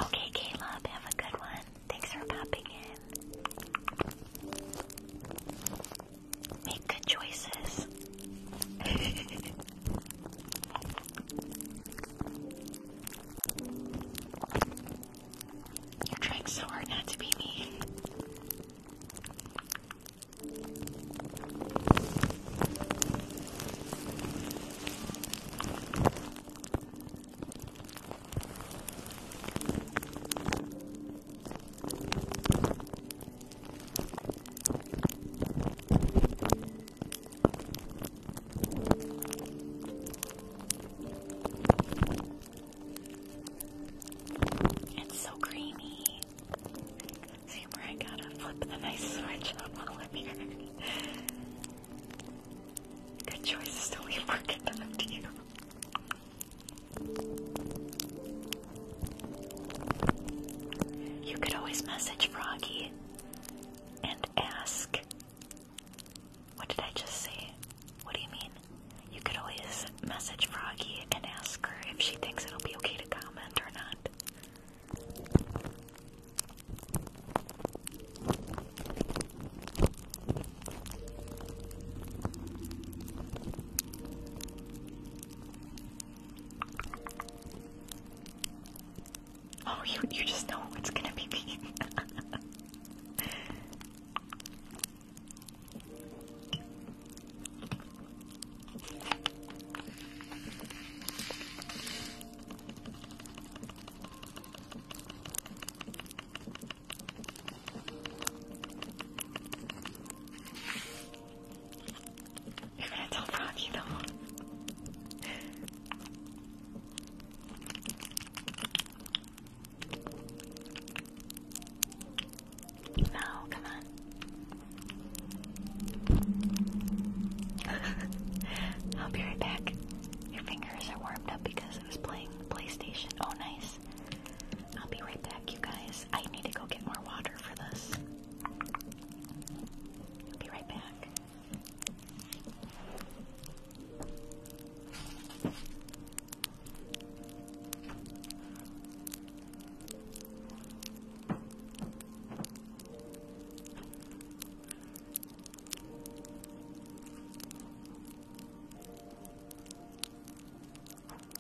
Okay, Caleb, have a good one. Thanks for popping in. Make good choices. You're trying so hard not to be me. It's so creamy. See where I gotta flip the nice switch up all of here. Good choice to leave work it back to you. You could always message Froggy and ask. What did I just say? What do you mean? You could always message Froggy and ask her if she thinks it'll be okay to comment or not. Oh, you you just know it's gonna be me. You're gonna tell Froggy though. No, come on. I'll be right back. Your fingers are warmed up because I was playing PlayStation. Oh, nice. I'll be right back, you guys. I need to go get more water for this. I'll be right back.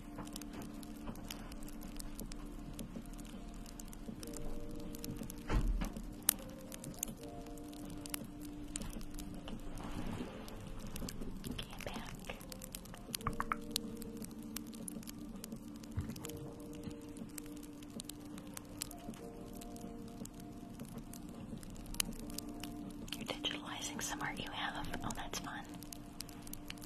back. You're digitalizing some art you have. Oh, that's fun.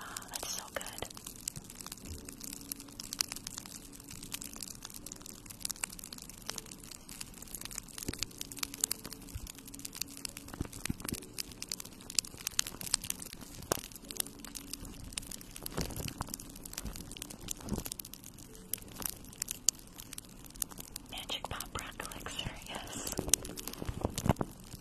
Oh, that's so good. Magic Pop Rock Elixir, yes. In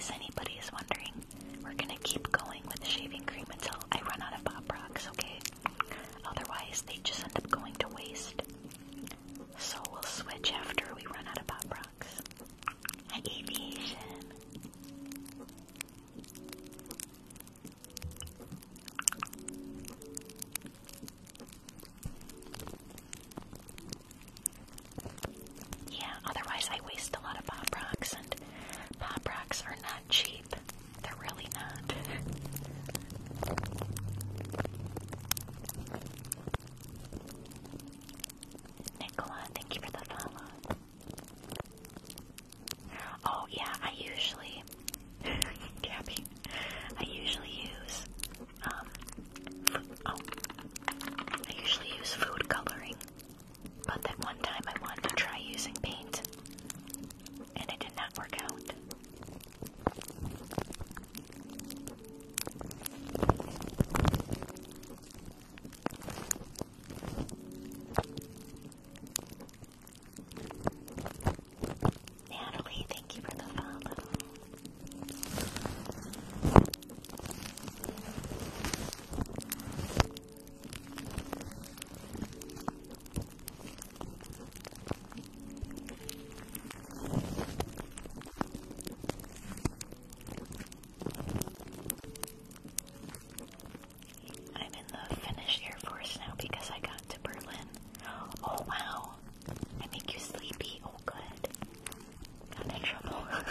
case anybody is wondering, we're gonna keep going with the shaving cream until I run out of Pop Rocks, okay? Otherwise, they just end up going to waste. So we'll switch after we run out of Pop Rocks. Aviation! Yeah, otherwise I waste a lot of Pop Rocks, and Pop Rocks are not cheap. They're really not. Nicola, thank you for the follow. Oh yeah, I usually, Gabby, I usually use, um, oh, I usually use food coloring but that one time I wanted to try using paint, and it did not work out. Natalie, thank you for the follow. I'm in the Finnish Air Force now because I got to Berlin. Oh wow. I make you sleepy. Oh Got in trouble.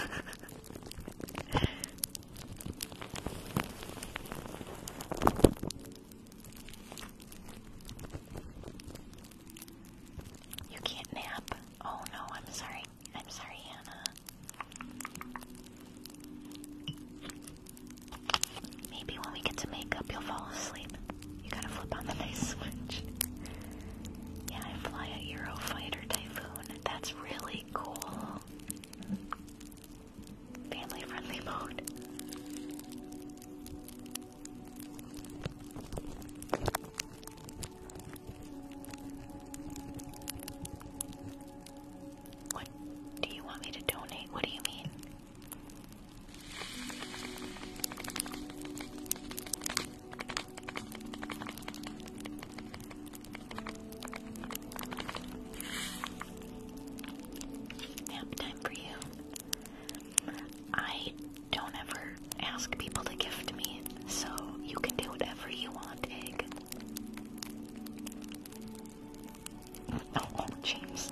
You can't nap. Oh no, I'm sorry. I'm sorry, Hannah. Maybe when we get to makeup, you'll fall asleep. You gotta flip on the night switch. yeah, I fly a Eurofighter Typhoon. That's really cool family-friendly mode. What do you want me to donate? What do you mean? Nap time for you. I don't ever ask people to gift me, so you can do whatever you want, Egg. Oh, oh James.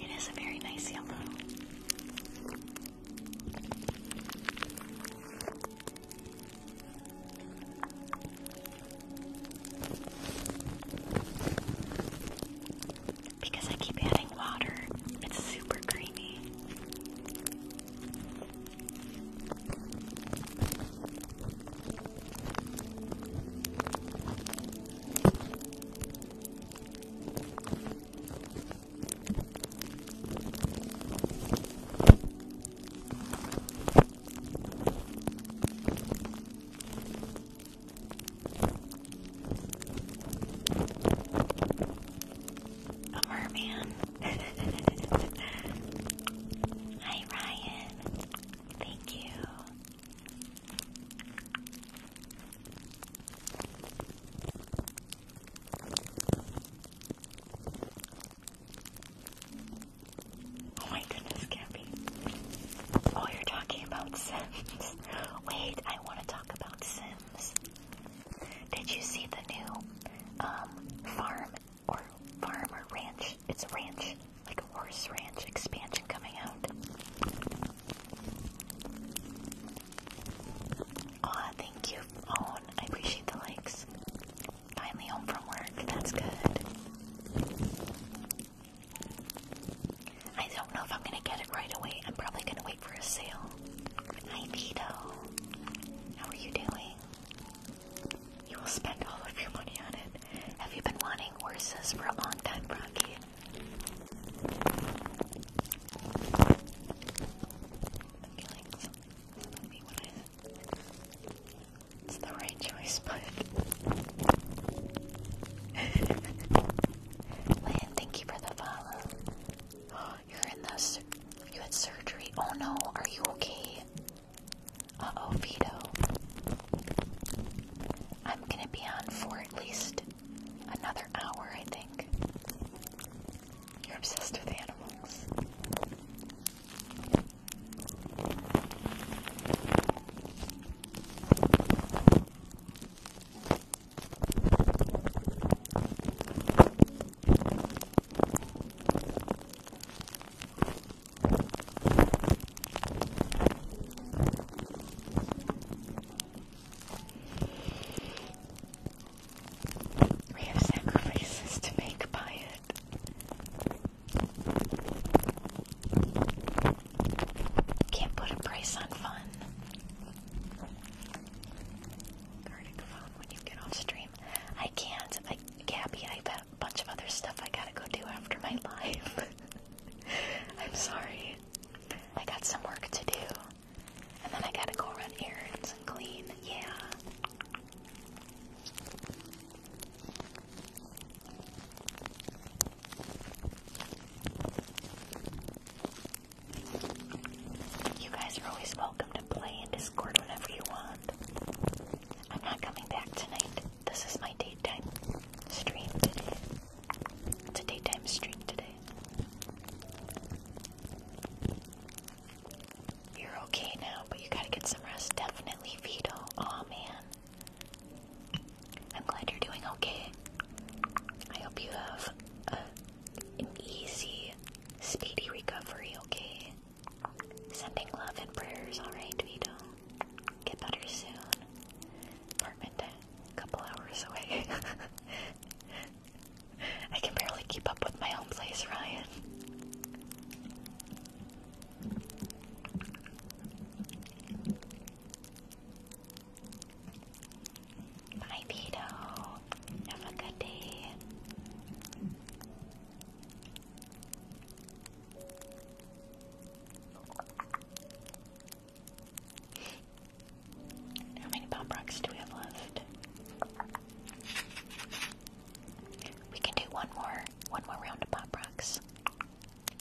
It is a very nice yellow. Because I keep adding water, it's super creamy. A merman. Hi, Ryan. Thank you. Oh my goodness, Cappy. Oh, you're talking about Sims. Wait, I want to talk about Sims. Did you see the new um, farm or farm or ranch? It's ranch, like a horse ranch expansion coming out. Aw, thank you, Owen. I appreciate the likes. Finally home from work. That's good. I don't know if I'm gonna get it right away. I'm probably gonna wait for a sale. Hi Vito. How are you doing? You will spend all of your money on it. Have you been wanting horses for a long time, Rocky? It's the right choice, bud. Lynn, thank you for the follow. you're in the you had surgery. Oh no, are you okay? Uh oh, Vito. I'm gonna be on for at least another hour, I think. You're obsessed with animals. We have sacrifices to make by it. Can't put a price on fun. Guarding phone when you get off stream. I can't. I, Gabby, I've got a bunch of other stuff I gotta go do after my live. I'm sorry. I got some work to do. And then I gotta go run errands and clean. Yeah. You guys are always welcome to play in Discord whenever you want. I'm not coming back tonight. This is my daytime stream today. It's a daytime stream today. You're okay now, but you gotta get some rest. Definitely, Vito. Aw, oh, man. I'm glad you're doing okay. I hope you have an easy, speedy recovery, okay? Sending love and prayers, alright, Vito? Get better soon. Apartment couple hours away. I can barely keep up with my own place, Ryan. Bye, Vito. Have a good day. How many pop rocks do we have left? We can do one more, one more round of pop rocks.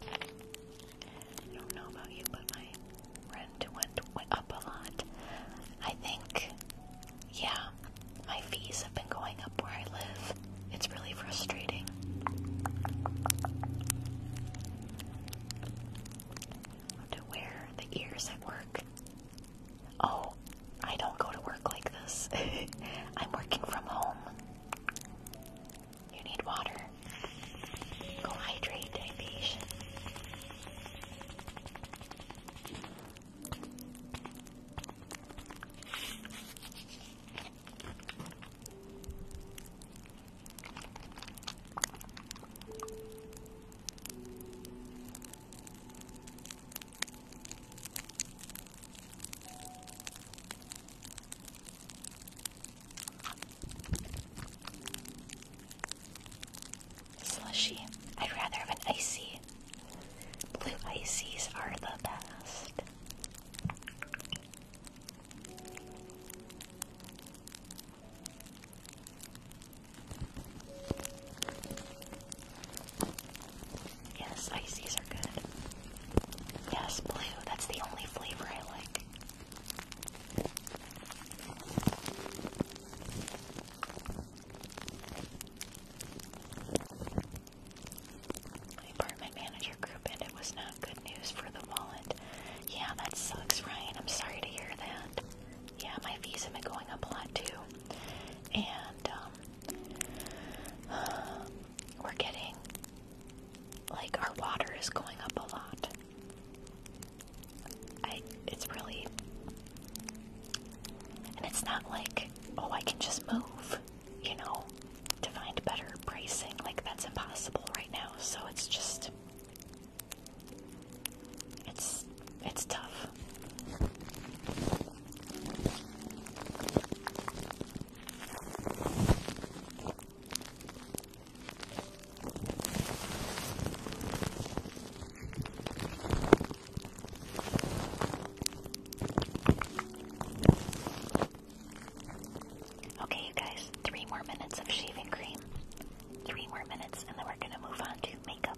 I don't know about you, but my rent went, up a lot. I think, yeah, my fees have been going up where I live. It's really frustrating. I have to wear the ears at work. Oh, I don't go to work like this. I'm working from home. You need water. Go hydrate, Divish. Slushy. I'd rather have an icy. Blue ices are the best. Yes, ices are good. Yes, blue. That's the only flavor I like. I burned manager group and was not good news for the wallet. Yeah, that sucks, Ryan. I'm sorry to hear that. Yeah, my fees have been going up a lot too. And um, we're getting, like, our water is going up a lot. it's really, and it's not like, oh, I can just move, you know, to find better bracing. Like, that's impossible right now. So it's just, it's, it's tough. Okay, you guys, three more minutes of shaving cream. Three more minutes, and then we're gonna move on to makeup.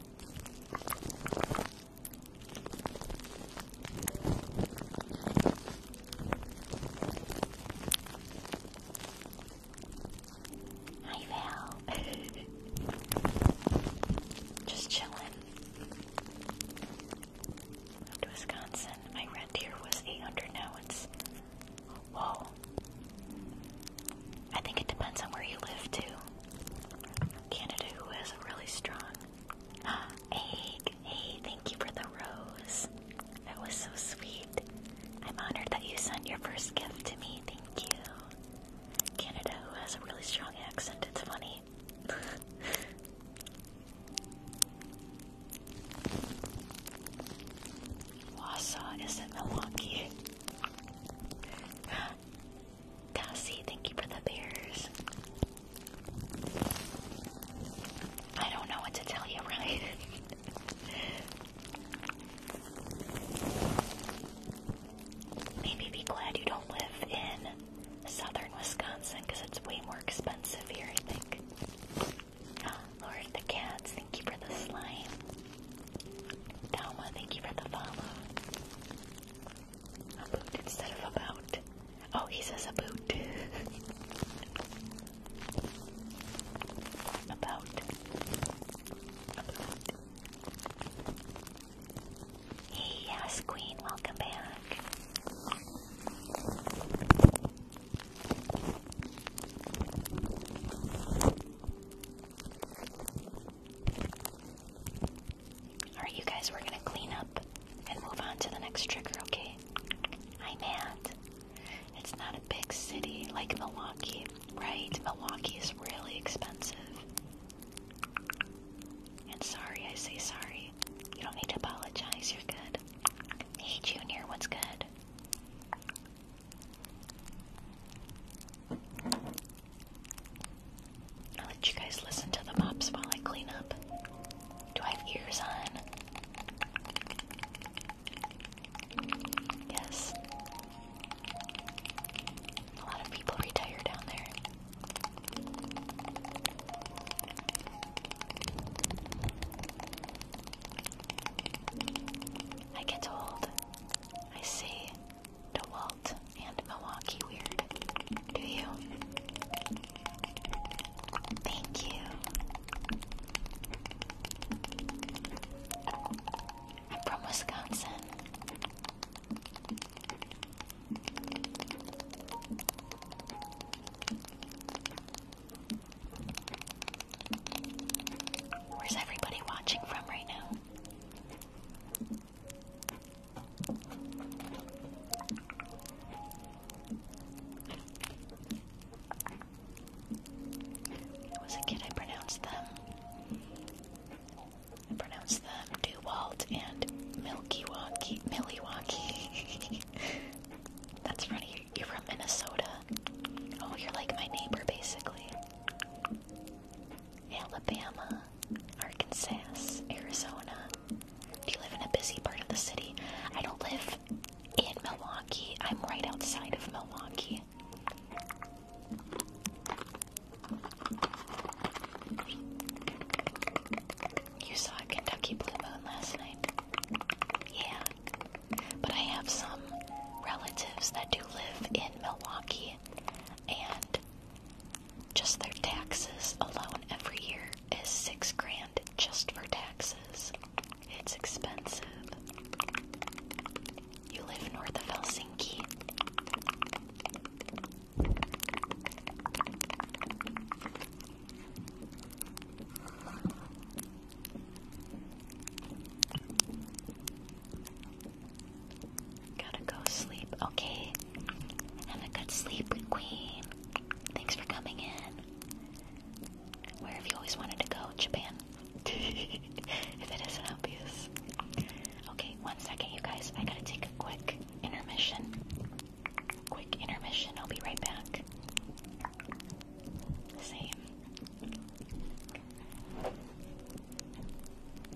Hi Val. Just chilling. Went to Wisconsin. My rent here was 800. Now it's well, I think it depends on where you live, too. Canada, who has a really strong egg. Hey, thank you for the rose. That was so sweet. I'm honored that you sent your first gift to me. Thank you. Canada, who has a really strong accent, it's funny. Wausau is in Milwaukee. Cassie, thank you for the bears. I don't know what to tell you, right? Maybe be glad you don't live in southern Wisconsin it's way more expensive here, I think. Lord, the cats, thank you for the slime. Dalma, thank you for the follow. instead of a Oh, he says a boot. yes, Queen, welcome back. Alright, you guys, we're gonna clean up and move on to the next trigger, okay? I'm Matt. It's not a big city like Milwaukee, right? Milwaukee is really expensive. And sorry, I say sorry. You don't need to apologize, you're good. Hey, Junior, what's good? I'll let you guys listen to the mops while I clean up. Do I have ears on? Yes. A lot of people retire down there. I get old. I see. DeWalt and Milwaukee Weird. Do you? Thank you. I'm from Wisconsin. Where's everybody watching from right now? When I a kid, I pronounced them. I pronounced them Dewalt and Milky Wonky, That's funny. You're from Minnesota. Oh, you're like my neighbor, basically. Alabama, Arkansas, Arizona. Do you live in a busy part of the city? I don't live in Milwaukee. I'm right outside of Milwaukee. You saw a Kentucky blue moon last night. Yeah. But I have some relatives that do live in Milwaukee and just their taxes alone every year is six grand just for taxes. It's expensive. You live north of Helsinki. Gotta go sleep. Okay. Have a good sleep, Queen. Thanks for coming in. Where have you always wanted to go? Japan. if it isn't obvious. Okay, one second, you guys. I gotta take a quick intermission. Quick intermission. I'll be right back. Same.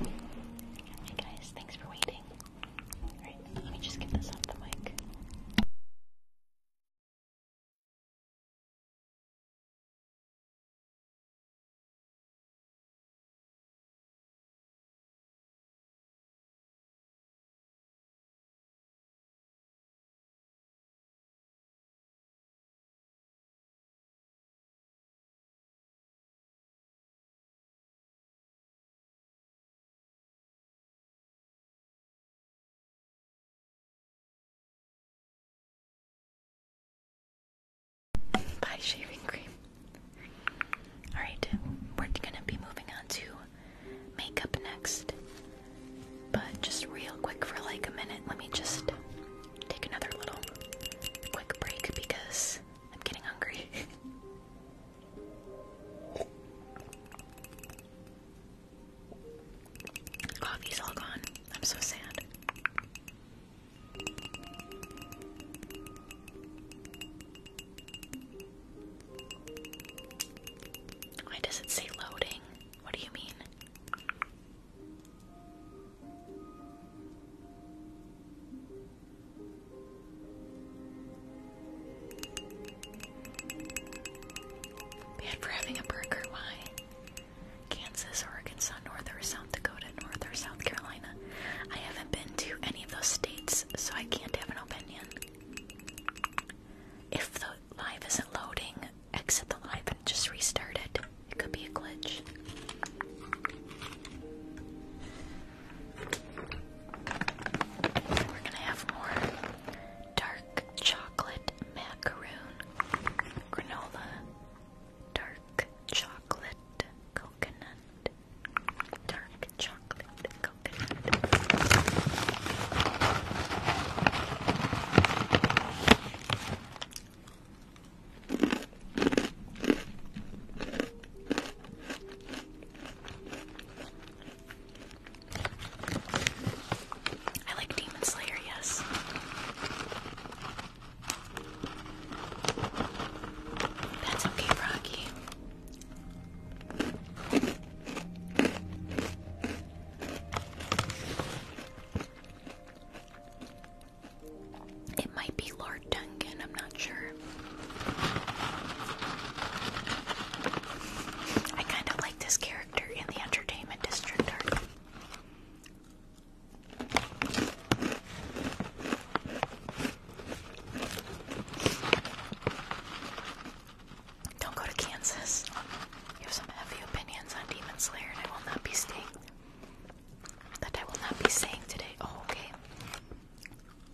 Hey guys, thanks for waiting. Alright, let me just get this off the mic. By shaving cream. Alright, we're gonna be moving on to makeup next. But just real quick for like a minute, let me just take another little quick break because I'm getting hungry. Coffee's all gone. I'm so sad. Why does it say loading? What do you mean? Bad for having a burger, why? Kansas, Arkansas, North or South Dakota, North or South Carolina. I haven't been to any of those states, so I can't have an opinion. If the live isn't loading, exit the live and just restart it. It could be a glitch. We're gonna have more dark chocolate macaroon granola, dark chocolate coconut, dark chocolate coconut. I like Demon Slayer, yes. That's okay, Rocky. It might be Lord Duncan, I'm not sure. I kind of like this character in the entertainment district Don't go to Kansas. You have some heavy opinions on Demon Slayer, I will not be staying. That I will not be saying today. Oh, okay.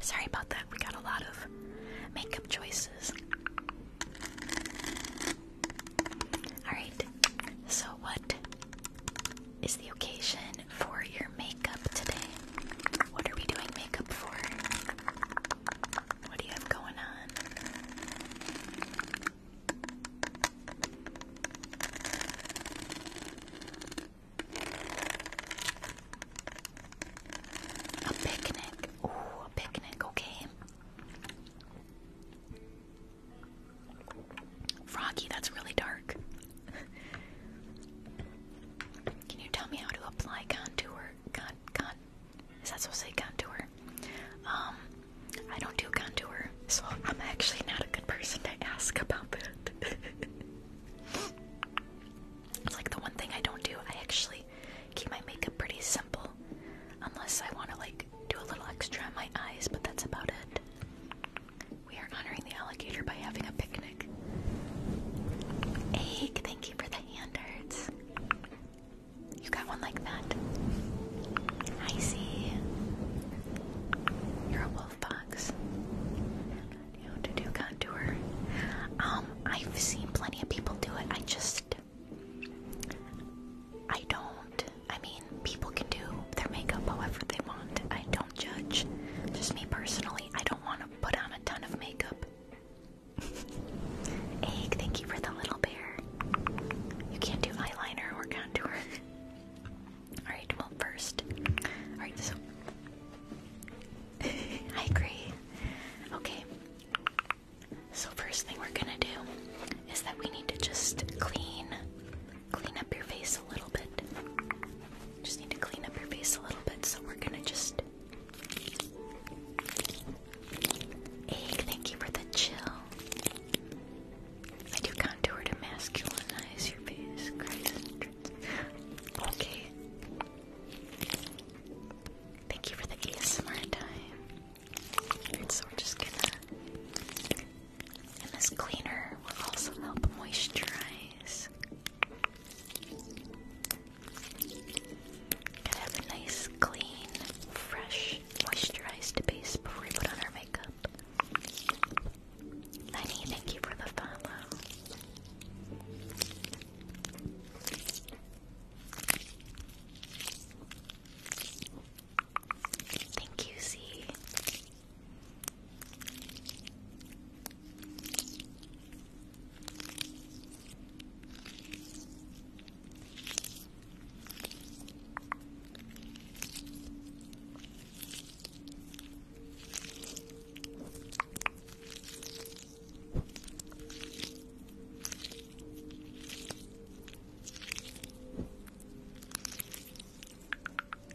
Sorry about that, we got a lot of makeup choices. Alright, so what is the occasion for your makeup today? What are we doing makeup for? What do you have going on? A picnic. Ooh, a picnic, okay. Froggy, that's really dark. Can you tell me how to apply contour? Con, con, is that supposed to say contour? Um, I don't do contour, so I'm actually not a good person to ask about that. It's like the one thing I don't do. I actually keep my makeup pretty simple, unless I want to like do a little extra on my eyes, but that's about it. We are honoring the alligator by having a picnic. Egg, thank you for the hand hearts. You got one like that. I see. You're a 12 You know, to do contour. Um, I've seen plenty of people do it. I just, I don't. I mean, people can do their makeup however they want. I don't judge. Just me personally, I don't want to put on a ton of makeup. Egg, thank you for the little bear. You can't do eyeliner or contour. Alright, well, first. Alright, so. I agree. Okay. So, first thing we're gonna do is that we need to just clean. Clean up your face a little bit. Just need to clean up your face a little bit, so we're gonna just. thank you for the chill. I do contour to masculinize your face, Okay. Thank you for the ASMR time. so we're just gonna. And this cleaner will also help moisturize. Gotta have a nice, clean, fresh, moisturized base before we put on our makeup. Lenny, thank you for the follow. Thank you, Z. All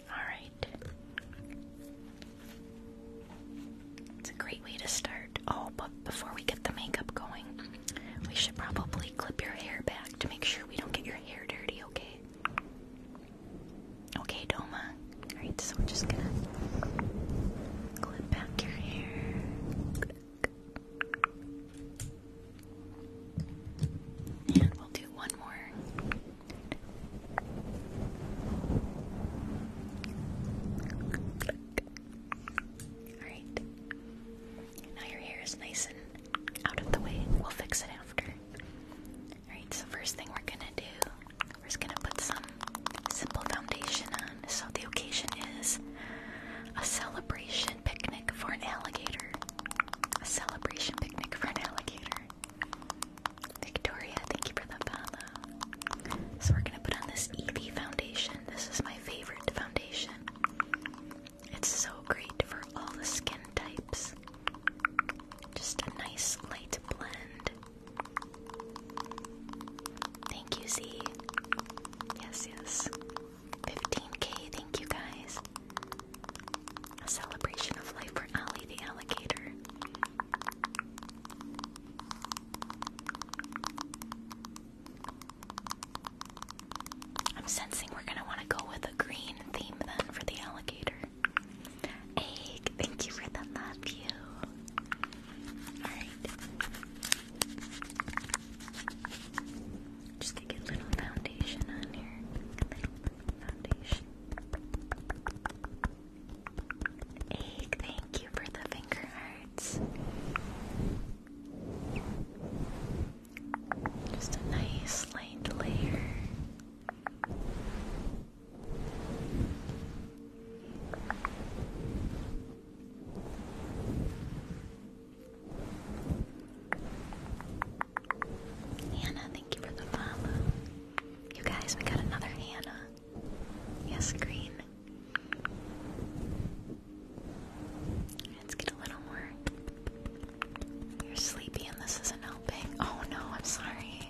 right. It's a great way to start. Oh, but before we get the makeup going, we should probably clip your hair back to make sure we don't get your hair dirty, okay? Okay, Doma. Alright, so we're just gonna clip back your hair. And we'll do one more. Alright. Now your hair is nice and out of the way. We'll fix it after. Alright, so first thing we're gonna do, we're just gonna put some simple foundation on. So the occasion is a celebration picnic for an alligator. A celebration picnic for an alligator. Victoria, thank you for the follow. So we're gonna put on this EV foundation. This is my favorite foundation. It's so great for all the skin types. Just a nice light blend. Thank you, Z. Yes, yes. 15k, thank you guys. A celebration of life for Ali the alligator. I'm sensing we're gonna want to go with a green theme then for the alligator. Egg, thank you for the love you. Just gonna get a little foundation on here. Egg, thank you for the finger hearts. Just a nice light layer. Hannah, thank you for the follow. You guys, we got another Hannah. Yes, green. Let's get a little more. You're sleepy and this isn't helping. Oh no, I'm sorry.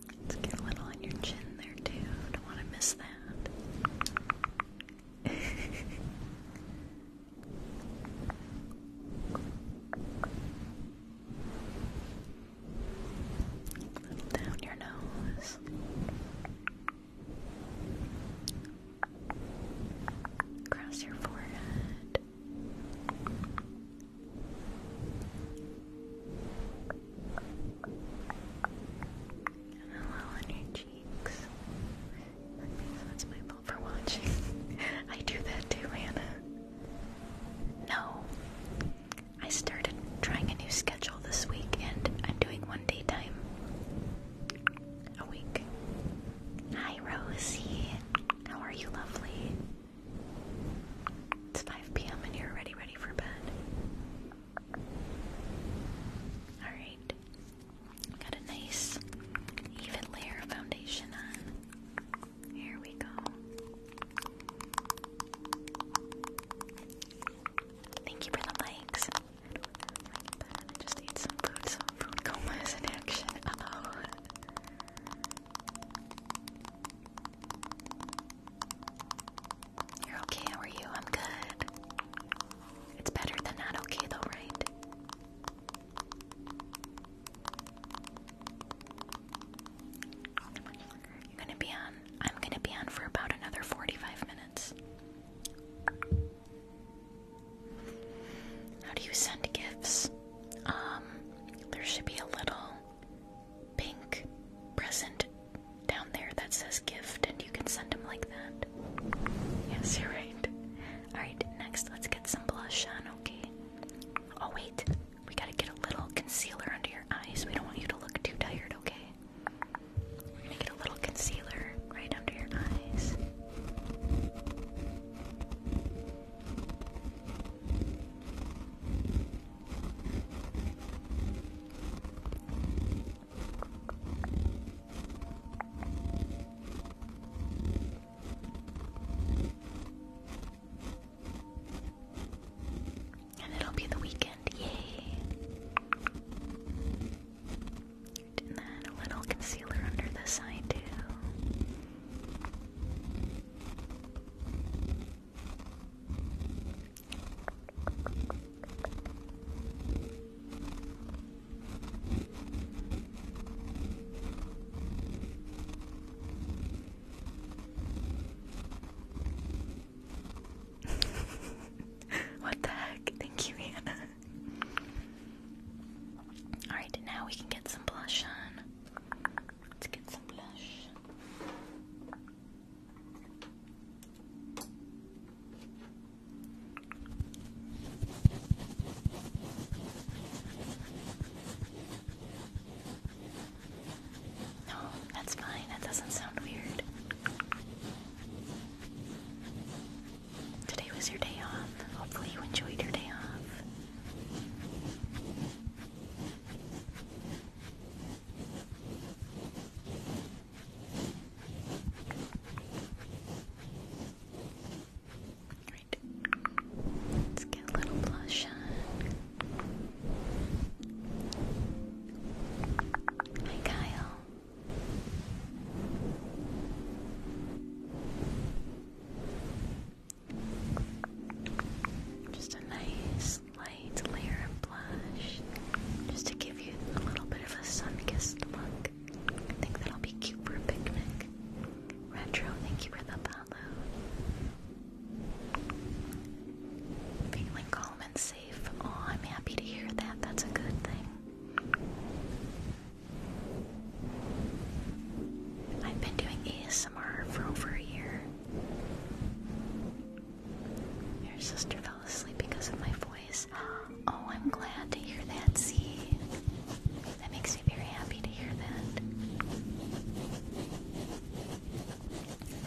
Let's get a little on your chin there too. Don't want to miss that. down your nose. Across your forehead. And on your cheeks. That's my fault for watching. I do that too, Hannah. No. I started trying a new schedule this week and I'm doing one daytime a week. Hi Rosie. How are you, lovely? It's 5 p.m. and you're already ready for bed. Alright. Got a nice, even layer of foundation on. Here we go. Thank you for the likes. just ate some food, so food coma is in action. oh. You're okay, how you? I'm good. It's better than not okay, though, right? You're gonna be on. I'm gonna be on for about another 45 minutes. How do you send gifts? Um, there should be a little pink present down there that says gift, and you can send him like that. Yes, you're right. Alright, next let's get some blush on, okay? Oh, wait, we gotta get a little concealer under your eyes. We don't want you to look too tired, okay? We're gonna get a little concealer right under your eyes. And it'll be the weekend, yay! And then a little concealer under this eye, too. what the heck? Thank you, Hannah. Alright, now we can get some blush on. Let's get some blush. No, that's fine. That doesn't sound weird. Today was your day off. Hopefully, you enjoyed your day off. Right. Let's get a little blush on. Hi, Kyle. Just a nice slight layer of blush just to give you a little bit of a sun-kissed look. I think that'll be cute for a picnic. Retro, thank you for the follow. Feeling calm and safe. Oh, I'm happy to hear that. That's a good thing. I've been doing ASMR for over a year. Your sister fell asleep because of my voice. Oh, I'm glad to hear that, see? That makes me very happy to hear that.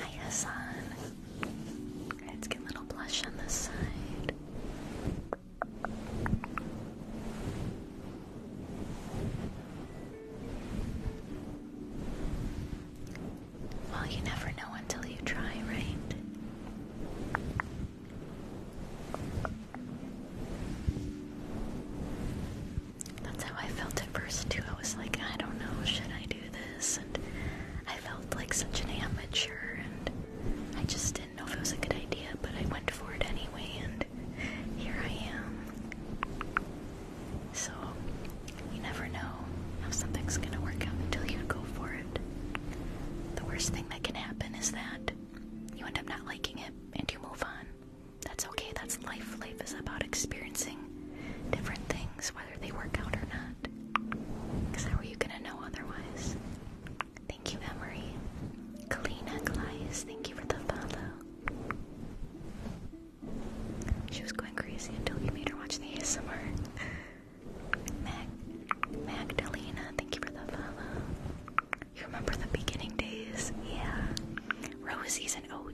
Hi, Hassan. Let's get a little blush on this side. Well, you never know until you try, right? That's how I felt at first, too. I was like, I don't know, should I do this? And I felt like such an amateur, and I just didn't know if it was a good idea, but I went for it anyway, and here I am. So you never know how something's gonna work out until you go for it. The worst thing that can happen is that you end up not liking it and you move on. That's okay, that's life. Life is about experiencing different things, whether they work out or not. how are you gonna know otherwise? Thank you, Emery. Kalina Glias, thank you for the follow. She was going crazy until you made her watch the ASMR. Mag Magdalena, thank you for the follow. You remember the beginning days? Yeah. Rosie's an OG.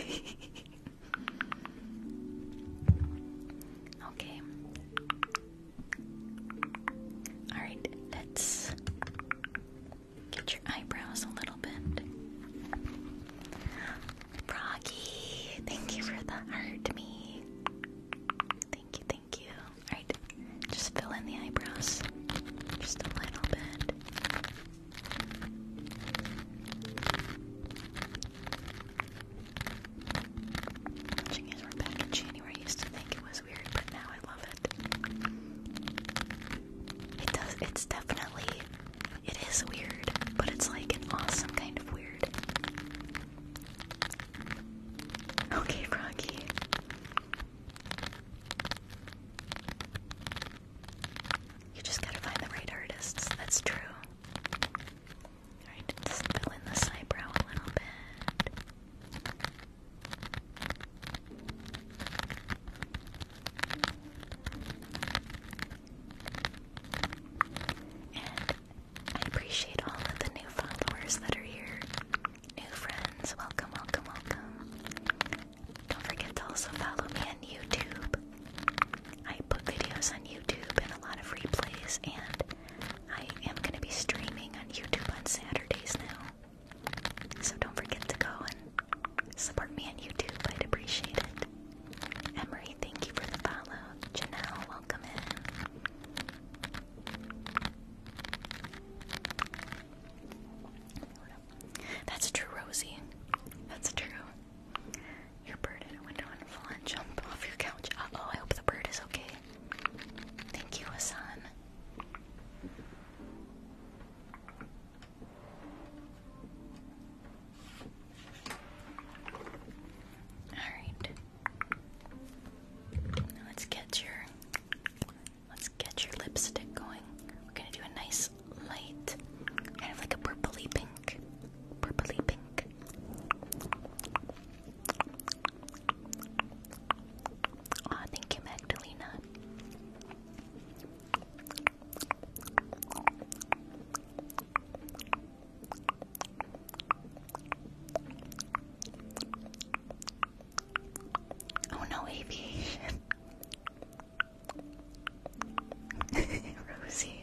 okay. Alright, let's get your eyebrows a little bit. Froggy, thank you for the heart, me. Thank you, thank you. Alright, just fill in the eyebrows. Just a little bit. Watching as we're back in January, I used to think it was weird, but now I love it. It does, it's definitely it is weird, but it's like an awesome kind of weird. Okay, Froggy. You just gotta find the right artists, that's true. Alright, just fill in this eyebrow a little bit. I appreciate all of the new followers that are here. New friends, welcome, welcome, welcome. Don't forget to also follow me on YouTube. I put videos on YouTube and a lot of replays, and I am going to be streaming on YouTube on Saturdays now. So don't forget to go and support me on YouTube. I'd appreciate it. Emery, thank you for the follow. Janelle, welcome in. That's true, Rosie. That's true. Your bird in a window and fall and jump off your couch. oh, I hope the bird is okay. Thank you, Hassan. All right. let's get your let's get your lipstick going. We're gonna do a nice light, kind of like a purpley pink, purpley pink. thank you, Magdalena. Oh no, aviation. Rosie.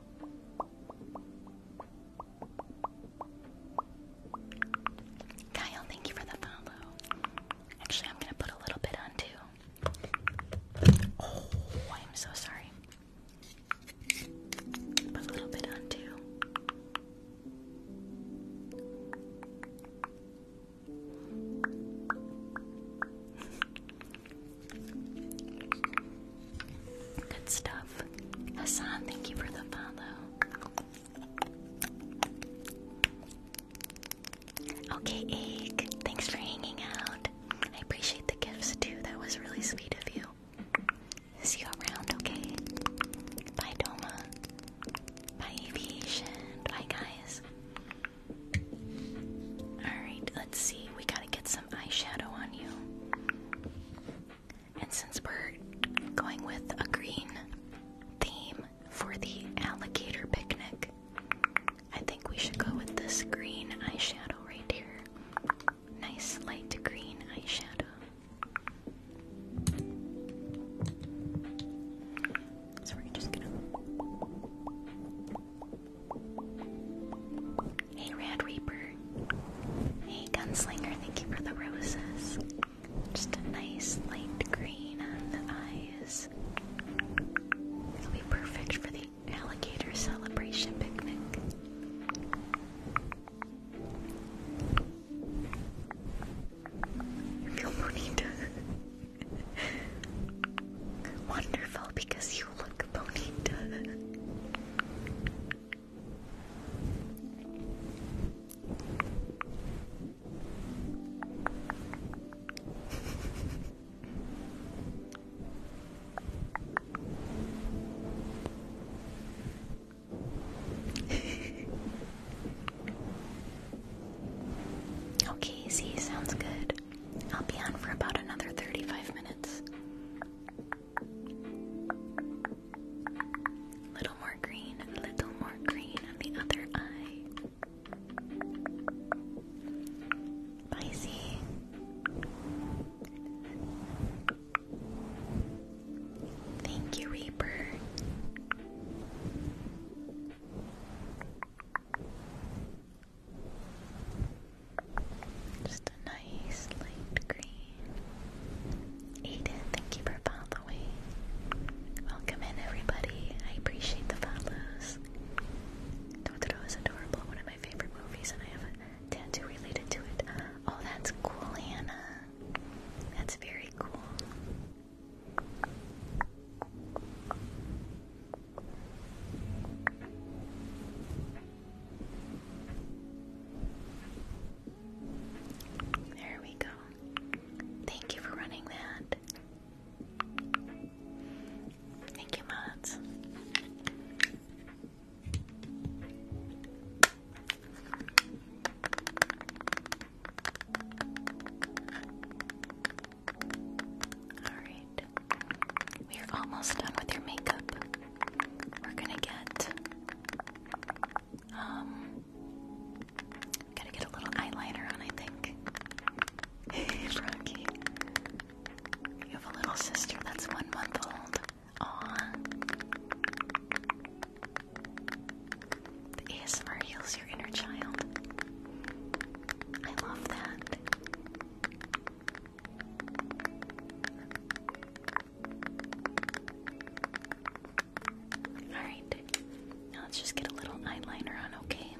Kyle, thank you for the follow. Actually, I'm gonna put a little bit on too. Oh, I'm so sorry. Put a little bit on too. Good stuff. Hassan, thank you for the follow. Okay, Egg, thanks for hanging out. I appreciate the gifts too. That was really sweet of you. See you around, okay? Bye, Doma. Bye, Aviation. Bye, guys. Alright, let's see. We gotta get some eyeshadow on you. And since we're going with a green theme for the alligator picnic, I think we should go with this green eyeshadow right here. Nice light green eyeshadow. So we're just gonna Hey, Rad Reaper. Hey, Gunslinger, thank you for the roses. Just a nice light green on the eyes. It'll be perfect for the alligator celebration picnic. Feel bonita. Wonderful because you okay, Z sounds good. I'll be on for about another 35 minutes. Little more green, a little more green on the other eye. Pisces. Thank you, Reaper. Just a nice light green. Aiden, thank you for following. Welcome in, everybody. I appreciate the follows. Totoro is adorable, one of my favorite movies, and I have a tattoo related to it. Oh, that's cool, Hannah. That's very cool. There we go. Thank you for running that. Thank you, Mods. All right. We are almost done with your makeup. We're gonna get um gotta get a little eyeliner on I think. Hey Frankie. You have a little sister that's one month old. Aw. The ASMR heals your inner child. I love that. Alright, now let's just get a little eyeliner on, okay?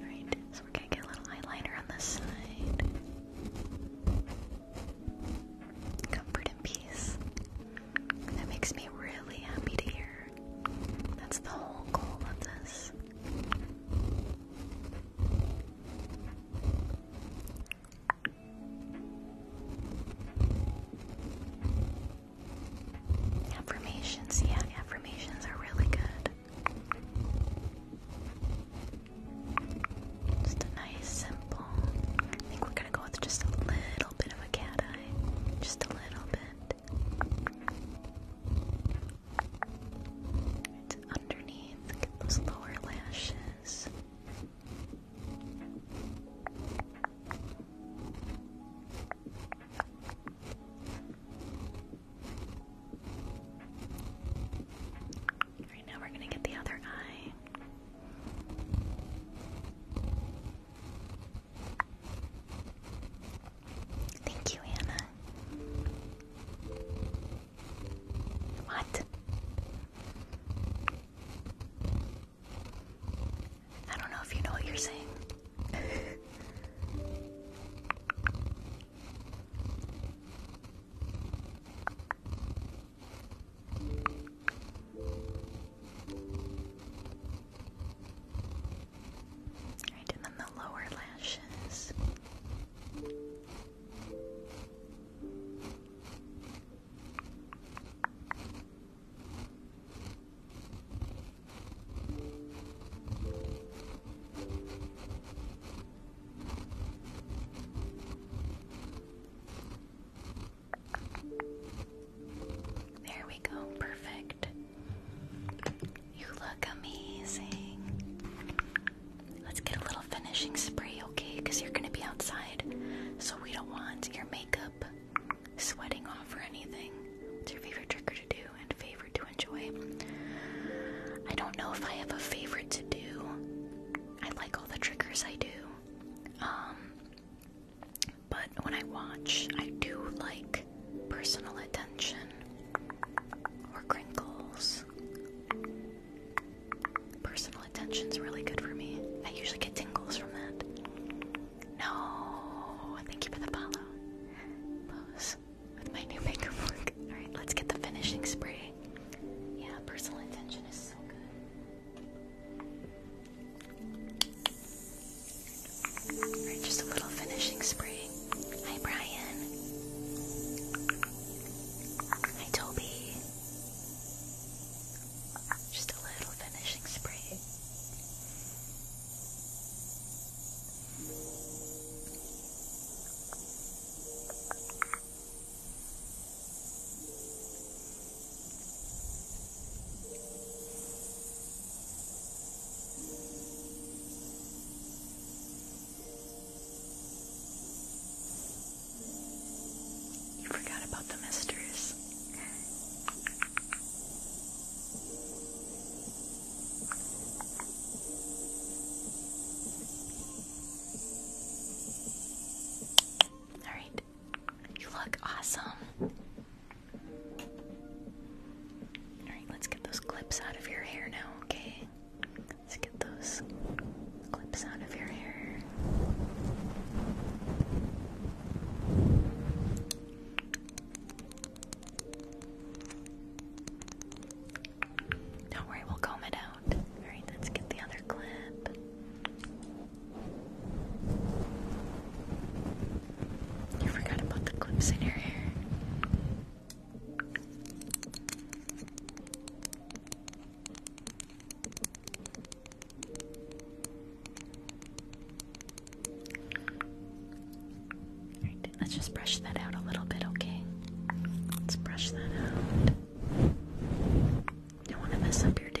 Alright, so we're gonna get a little eyeliner on this side. Comfort and peace. That makes me really happy to hear. That's the whole goal of this. Affirmations, yeah, affirmations are really good. Just a nice, simple. I think we're gonna go with just a little bit of a cat eye. Just a little bit. It's underneath, get those lower lashes. Right now, we're going to get the other eye. Thank you, Anna. What? I don't know if you know what you're saying and then the lower lashes. There we go, perfect. You look amazing. Let's get a little finishing spray, okay? Because you're going to be outside. So we don't want your makeup sweating off or anything. What's your favorite trigger to do and favorite to enjoy. I don't know if I have a favorite to do. I like all the triggers I do. Um, but when I watch, I do like personal attention or crinkles. Personal attention's really good for me. I usually get tingles from that. No, thank you for the follow. Pose with my new makeup Alright, let's get the finishing spray. Yeah, personal attention is so good just a little finishing spray. Hi, Brian. Hi, Toby. Just a little finishing spray. You forgot about the misters. All right. You look awesome. Alright, let's get those clips out of your hair now, okay? Let's get those clips out of your hair. Don't worry, we'll comb it out. Alright, let's get the other clip. You forgot about the clips in your hair let's just brush that out a little bit, okay? Let's brush that out. Don't want to mess up your do.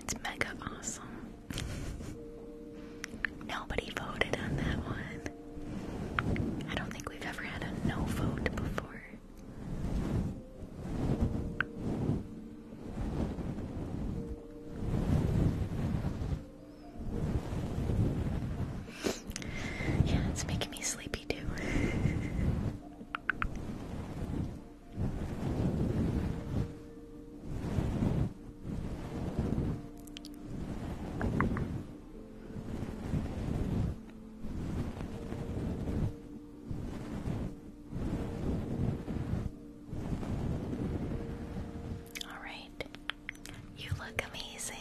It's mega awesome. Nobody voted on that one. I don't think we've ever had a no vote before. Yeah, it's making me sleepy too. All right. You look amazing.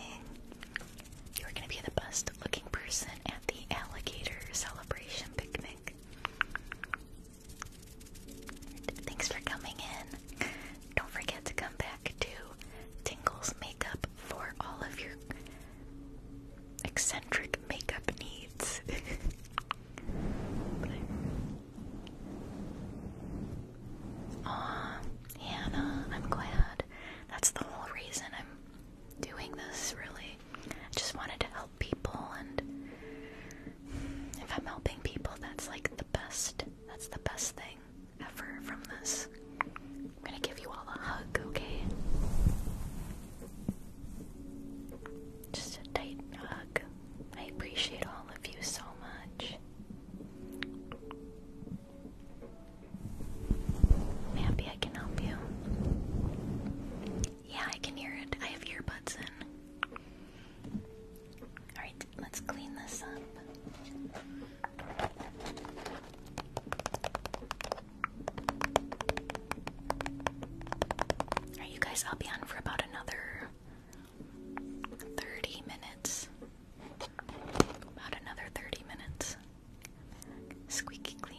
You're going to be the best looking person at the alligator celebration picnic. Thanks for coming in. Don't forget to come back to Tingle's Makeup for all of your eccentric makeup needs. Aw, Hannah, I'm glad. That's the whole reason I'm doing this, really. just wanted to help people and if I'm helping people that's like the best that's the best thing ever from this. I'm gonna give you all a hug, okay? Just a tight hug. I appreciate all of you so much. i I can help you. Yeah, I can hear it. I have earbuds in. Alright, let's clean this up. Alright, you guys, I'll be on for about another 30 minutes. About another 30 minutes. Squeaky clean.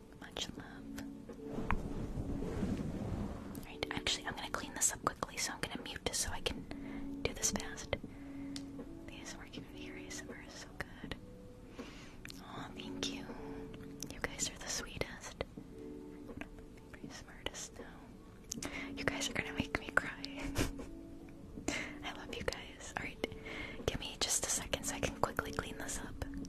Much love. Alright, actually, I'm gonna clean this up quickly, so I'm gonna mute just so I can do this fast. These working with the ASMR so good. Oh, thank you. You guys are the sweetest. smartest, though. You guys are gonna make me cry. I love you guys. Alright, give me just a second so I can quickly clean this up.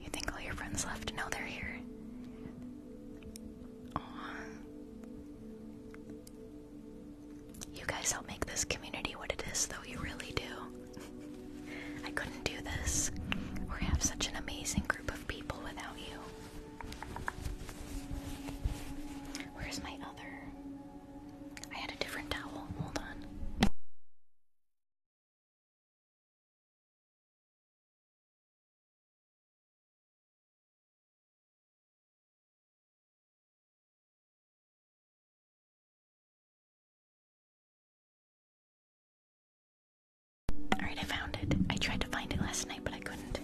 You think all your friends left? No, they're here. Aww. You guys help make this community what it is, though, you really do. I couldn't do this We have such an amazing group of people without you. Where's my other? I had a different towel. Hold on. Alright, I found it. I tried to find it last night, but I couldn't.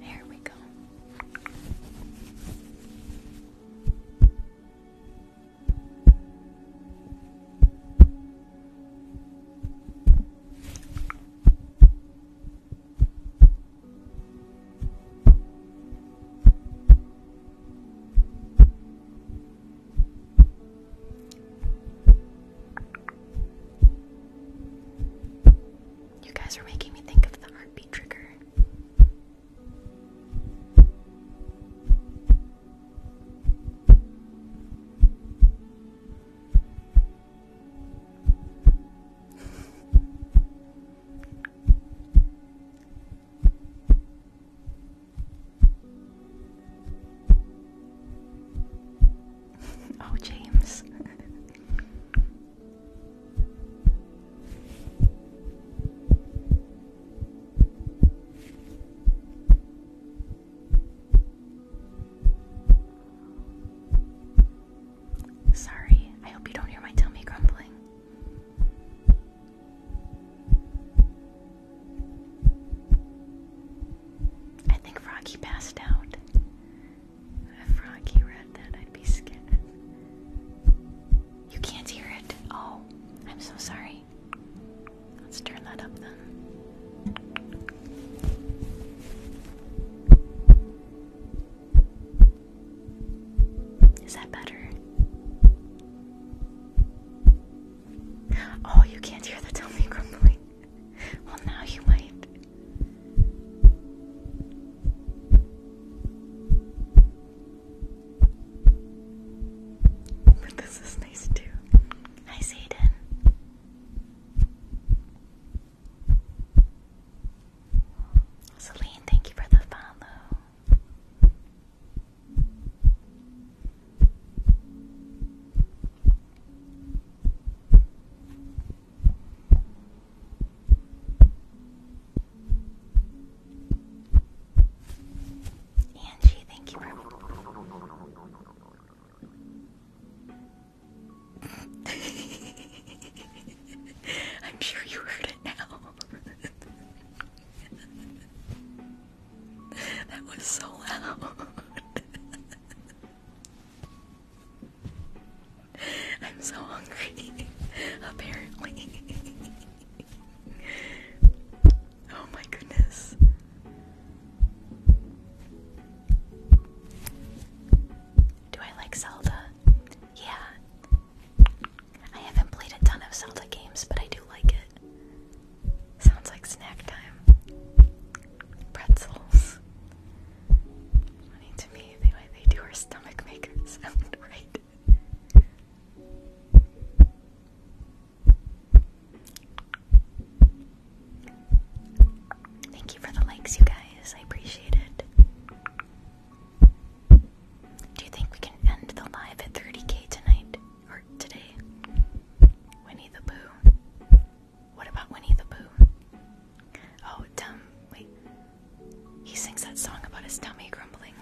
Here we go. You guys are making me think of the heartbeat trigger. oh, James. Sorry, I hope you don't hear my tummy grumbling. I think Froggy passed out. If Froggy read that, I'd be scared. You can't hear it. Oh, I'm so sorry. Let's turn that up then. Is that better? Oh, you can't hear the tummy grumbling. Well, now you might. But this is nice too. Hi, Satan. Celine, thank you for the follow. Angie, thank you for. I'm sure you heard it now. that was so loud. I'm so hungry, apparently. oh my goodness. Do I like Zelda? Yeah, I haven't played a ton of Zelda games, but I do like it. Sounds like snack time. Pretzels. Funny to me, the they do our stomach makers right. Thank you for the likes, you guys. I appreciate it. Do you think we can end the live at 30k tonight? Or today? Winnie the Pooh. What about Winnie the Pooh? Oh, dumb. Wait. He sings that song about his tummy grumbling.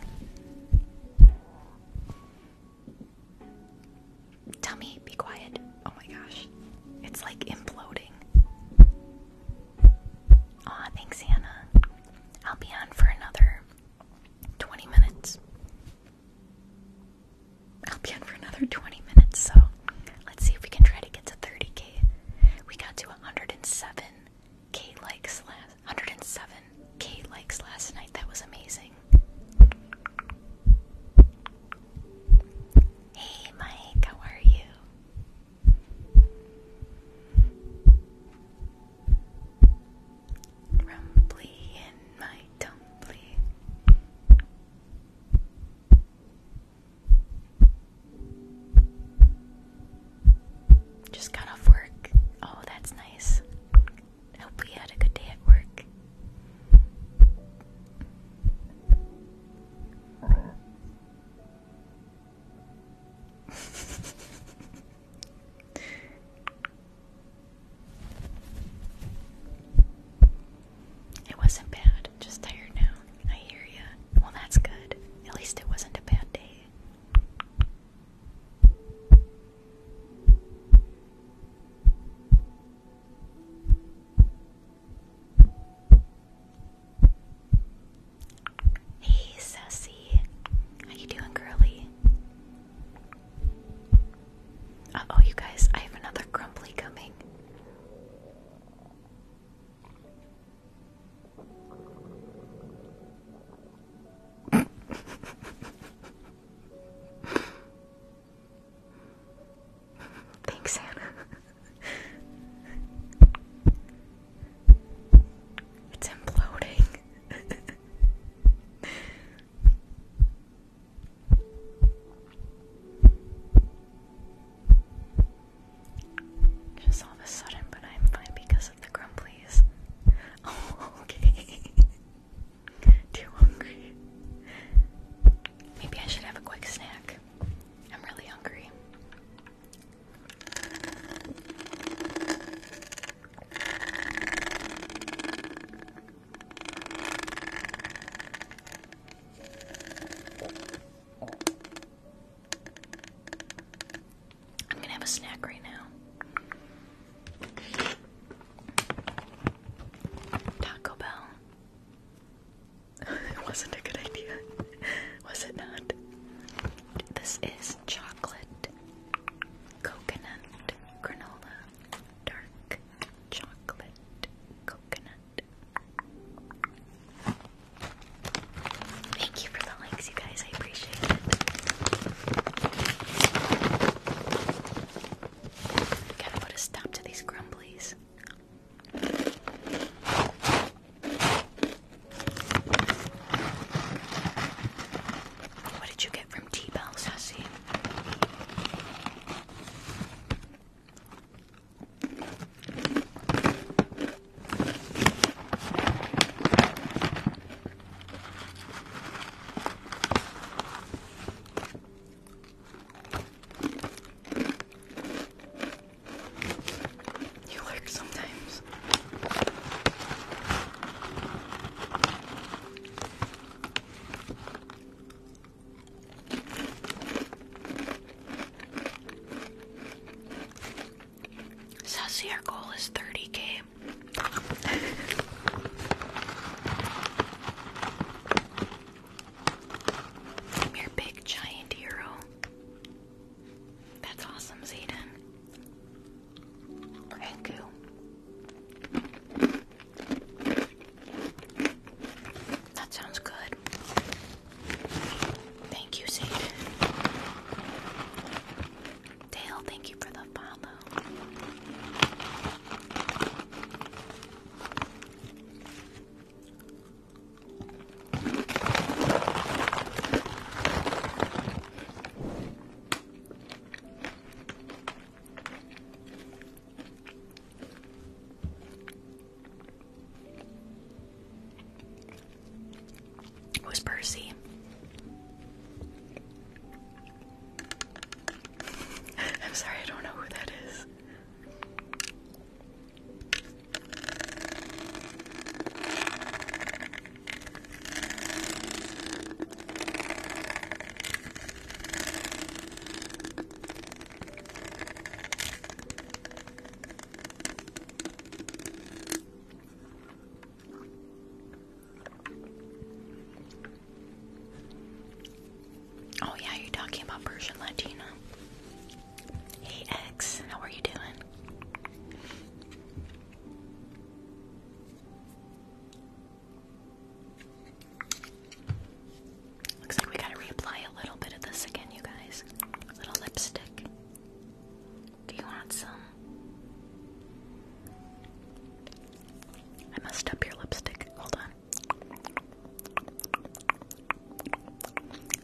Tummy, be quiet. Oh my gosh. It's like imploding. Aw, thanks, Hannah. I'll be on for another 20 minutes. I'll be on for another 20 minutes, so let's see if we can try to get to 30k. We got to 107k likes last 107k likes last night. That was amazing. Hey Mike, how are you? Rumbly in my tumbly. Just got off work. Oh, that's nice. Hope you had a good day at work it wasn't bad, just tired now. I hear you. Well, that's good. At least it wasn't a bad day. Hey, Sassy. How you doing, girly? oh you guys, I have another grumply coming. Thanks, Hannah. It's imploding. Just all of a sudden, but I'm fine because of the grumblies. okay. Too hungry. Maybe I should have a quick snack. I'm really hungry. I'm gonna have a snack right now. Taco Bell. it wasn't a good idea, was it not? This is chocolate, coconut, granola, dark chocolate, coconut. Thank you for the likes, you guys. I appreciate it. Gotta put a stop to these grumblies. What did you get from T Bell, Sassy? You lurk sometimes. Sassy, our goal is 30k. I'm your big giant hero. That's awesome, Zayden. Thank you. That sounds good. Thank you, Zayden. Dale, thank you for the follow. Who's Percy? I'm sorry, I don't know who that is. Oh, yeah, you're talking about Persian Latina. Hey, X, how are you doing? Looks like we gotta reapply a little bit of this again, you guys. little lipstick. Do you want some? I messed up your lipstick. Hold on.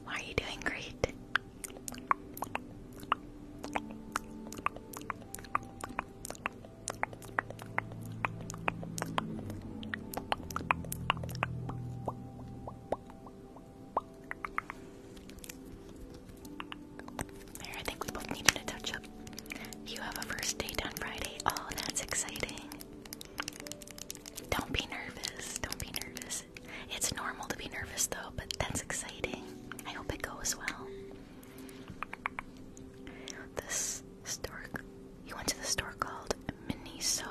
Why are you doing great? There, I think we both needed a touch up. You have a first date on Friday. Oh, that's exciting. Don't be nervous. Don't be nervous. It's normal to be nervous though, but that's exciting. I hope it goes well. This store, you went to the store called Miniso.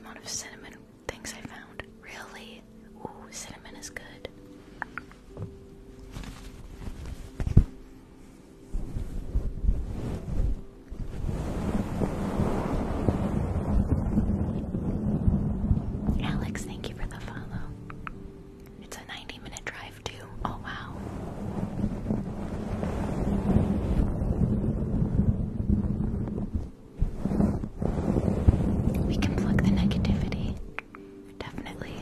amount of cinnamon things I found. Really? Ooh, cinnamon is good. Alex, thank you for the follow. It's a 90 minute drive, too. Oh, wow. We can plug the negativity, definitely.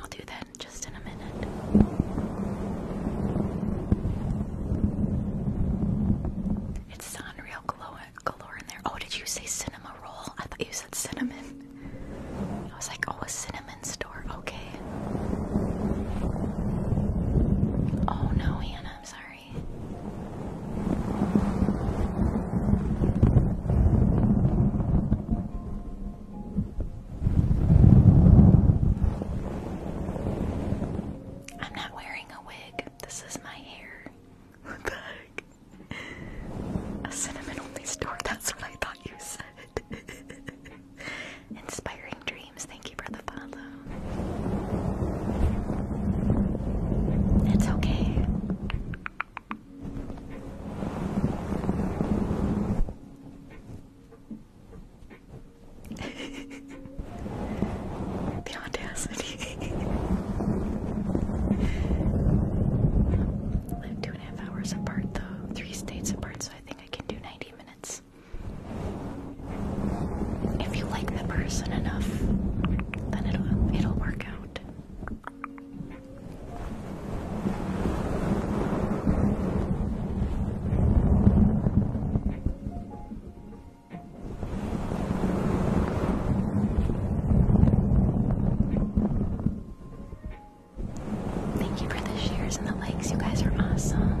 I'll do that just in a minute. It's unreal galore, in there. Oh, did you say cinema roll? I thought you said cinnamon. I was like, oh, a cinnamon store. Okay. Oh no, Hannah, I'm sorry. I'm not wearing this is my hair. A cinnamon only store. That's what I thought you said. Inspiring dreams. Thank you for the follow. It's okay the audacity. I'm a half hours apart, though. Three states apart, so I think I can do 90 minutes. If you like the person enough, then it'll it'll work out. Thank you for the shares and the likes. You guys are awesome.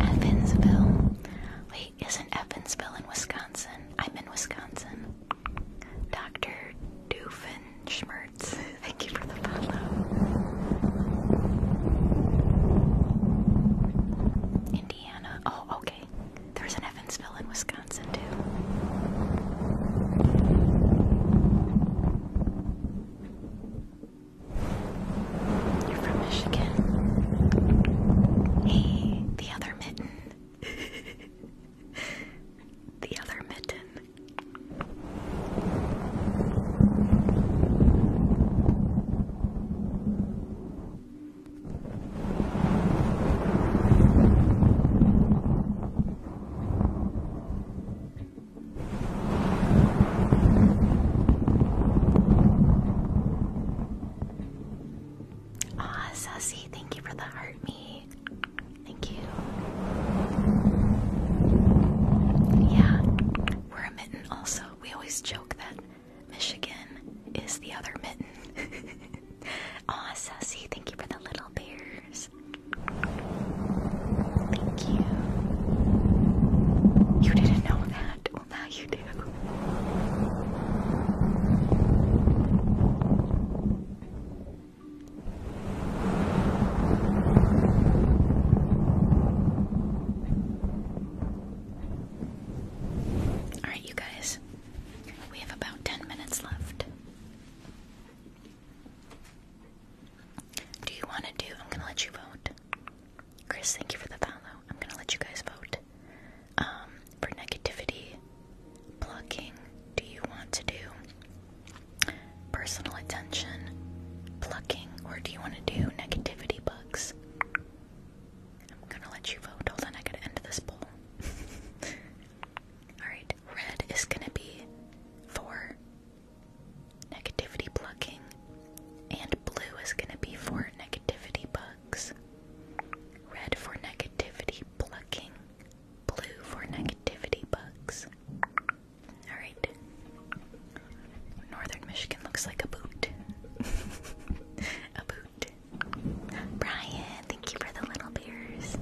Evansville. Wait, isn't Evansville in Wisconsin? I'm in Wisconsin. Dr. Doofenshmirtz, thank you for the follow. Indiana. Oh, okay. There's an Evansville in Wisconsin, too. You're from Michigan. Hey, the other mitten. the other mitten. Ah, Sassy, thank you for the heart me. Thank you. Yeah, we're a mitten also we always joke that Michigan is the other mitten. Aw, Sassy, thank you for the little bears. Thank you. You didn't know that. Well, now you do. Alright, you guys, we have about 10 minutes left. Do you want to do? I'm going to let you vote. Chris, thank you for the follow. I'm going to let you guys vote. Um, for negativity, plucking, do you want to do personal attention, plucking, or do you want to do negativity bug? I'm gonna let you vote. Hold on, I gotta end this poll. Alright, red is gonna be for negativity plucking, and blue is gonna be for negativity bugs. Red for negativity plucking, blue for negativity bugs. Alright, Northern Michigan looks like a boot. a boot. Brian, thank you for the little beers.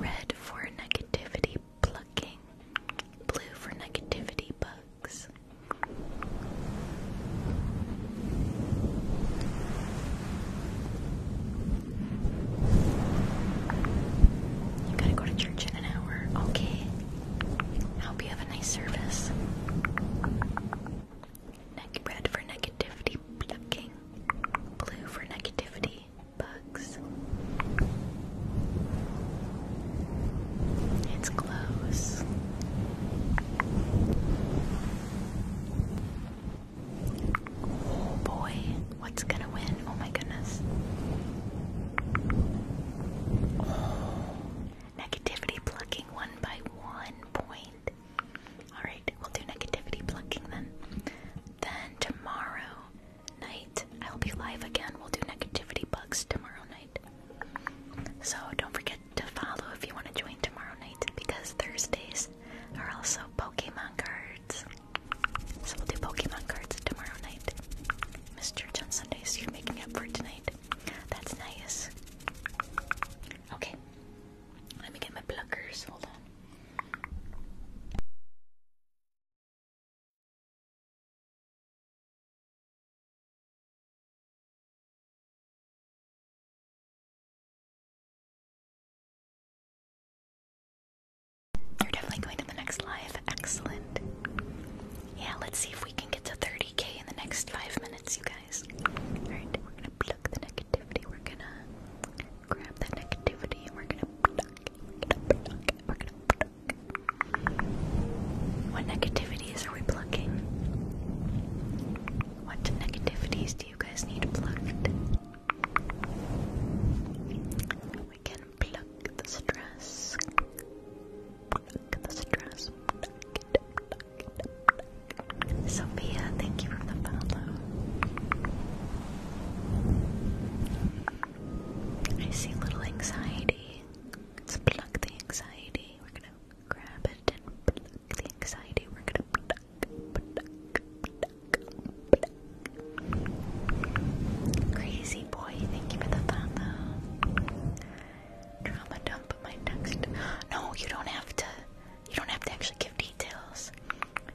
Red for negativity plucking. Blue for negativity bugs. You gotta go to church in an hour. Okay. I hope you have a nice service. red for negativity plucking. Blue for negativity bugs. It's close. Oh boy, what's gonna win? Oh my goodness. Oh, negativity plucking one by one point. Alright, we'll do negativity plucking then. Then tomorrow night, I'll be live again. We'll do negativity bugs tomorrow night. So don't forget to follow if you want to join tomorrow night because Thursdays are also Pokemon cards. So we'll do Pokemon cards tomorrow night. Mr. John Sundays, you're making up for tonight. That's nice. Okay. Let me get my pluckers. Hold on. You're definitely going to the next live. Excellent. Yeah, let's see if we can get to 30k in the next five minutes, you guys. Alright, we're gonna pluck the negativity. We're gonna grab that negativity and We're gonna pluck. We're gonna pluck. What negativities are we plucking? What negativities do you guys need plucked? We can pluck the stress. Pluck the stress. Sophia, thank you for the follow. I see a little anxiety. Let's pluck the anxiety. We're gonna grab it and pluck the anxiety. We're gonna Crazy boy, thank you for the follow. Trauma dump my text. No, you don't have to. You don't have to actually give details.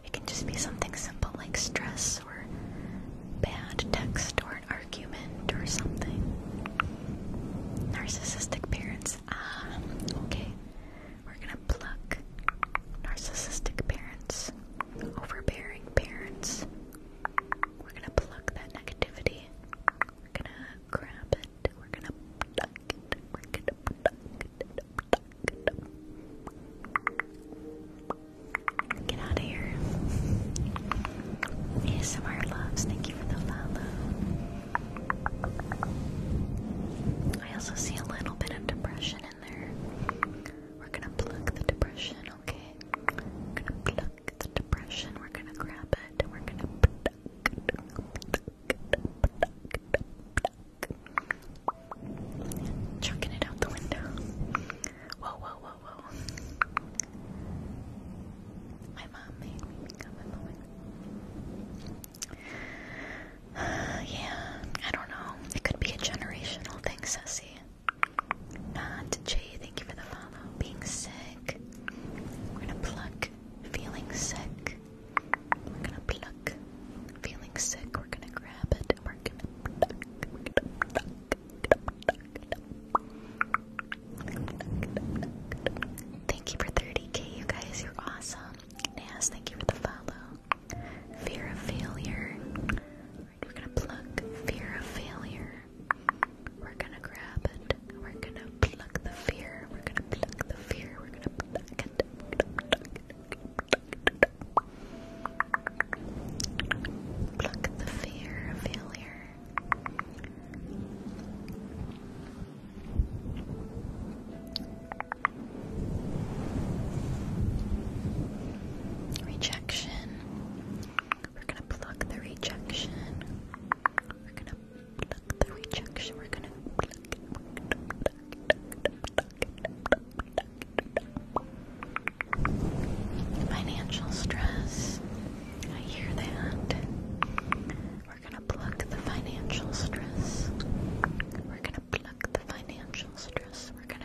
It can just be something simple like stress or bad text or an argument or something. Narcissistic parents. Ah, okay. We're gonna pluck narcissistic parents, overbearing parents. We're gonna pluck that negativity. We're gonna grab it. We're gonna pluck it. We're gonna pluck it. Pluck it. Get out of here. ASMR loves. Thank you for the follow. I also see a little bit of depression we're gonna plug the depression, okay? We're gonna pluck the depression. We're gonna grab it. We're gonna pluck, pluck, pluck, pluck. Chucking it out the window. Whoa, whoa, whoa, whoa. My mom made me become a woman. yeah, I don't know. It could be a generational thing, Sussy. Not Jay, thank you for the follow. Being sick. We're gonna pluck feeling sick. We're gonna pluck feeling sick. We're gonna grab it. We're gonna pluck. Thank you for 30k, you guys. You're awesome. Nas, thank you for the follow. Fear of failure. we're gonna pluck fear of failure. We're gonna grab it. We're gonna pluck the fear. We're gonna pluck the fear. We're gonna pluck it. we the fear of failure. Rejection. We're gonna pluck the rejection. We're gonna pluck the rejection. We're gonna pluck. Financial stress. I hear that. We're gonna pluck the financial stress. We're gonna pluck the financial stress. We're gonna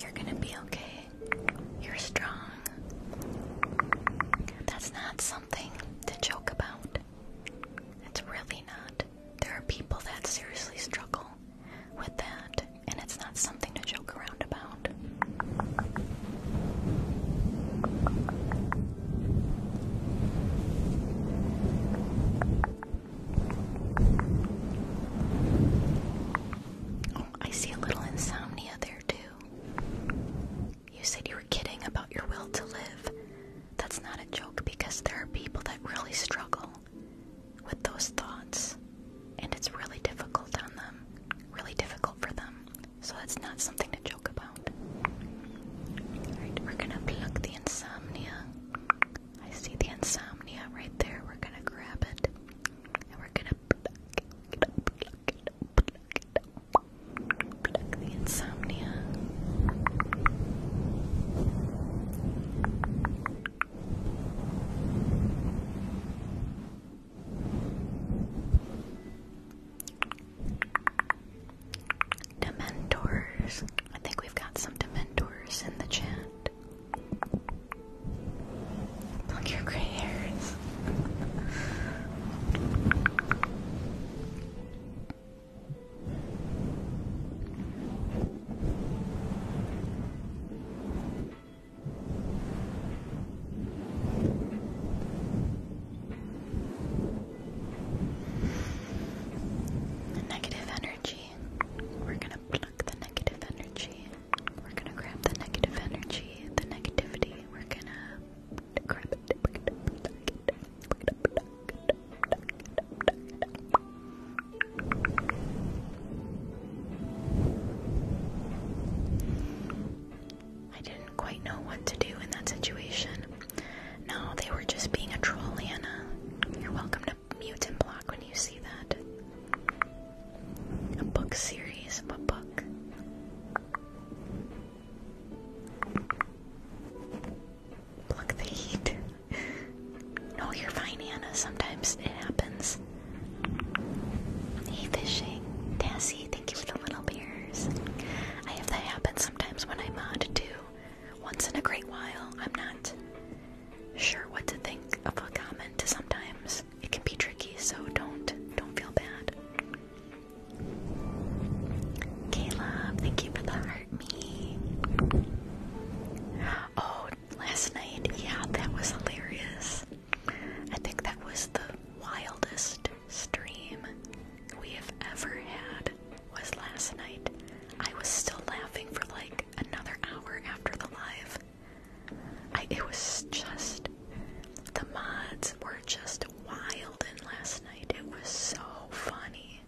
You're gonna be okay. You're strong. That's not something to joke about. It's really not. There are people that seriously struggle with that, and it's not something to joke around about. I see a little insomnia there too. You said you were kidding about your will to live. That's not a joke because there are people that really struggle with those thoughts and it's really difficult on them, really difficult for them. So that's not something to joke about. Alright, we're gonna pluck the insomnia. I see the insomnia right there. We're gonna grab it we're gonna pluck, pluck, pluck, pluck, pluck the insomnia. Dementors. I think we've got some Dementors in the chat. Look your gray hairs. negative energy. We're going to pluck the negative energy we're gonna grab the negative energy, the negativity. We're gonna grab it. I didn't quite know what to do in that situation. No, they were just being a troll, Anna. You're welcome to mute and block when you see that a book series a book. Pluck the heat. no, you're fine, Anna. Sometimes it happens. Hey, fishing. Tassie, thank you for the little beers. I have that happen sometimes when I mod too. Once in a great while, I'm not sure what to think of a comment sometimes it can be tricky, so don't don't feel bad. Caleb, thank you for the heart me. Oh, last night, yeah, that was hilarious. I think that was the wildest stream we have ever had was last night. I was still laughing for like another hour after the live it was just, the mods were just wild and last night. It was so funny.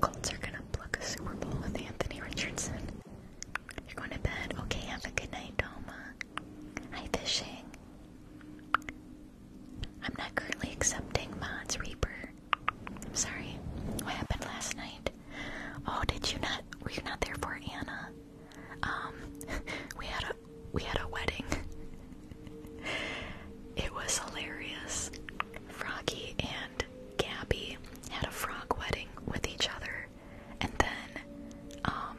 Colts are gonna pluck a Super Bowl with Anthony Richardson. You're going to bed. Okay, have a good night, Doma. Hi, fishing. I'm not currently accepting mods, Reaper. I'm sorry. What happened last night? Oh, did you not? Were you not there for Anna? Um, we had a we had a wedding. it was hilarious. Froggy and Gabby had a frog wedding with each other, and then um,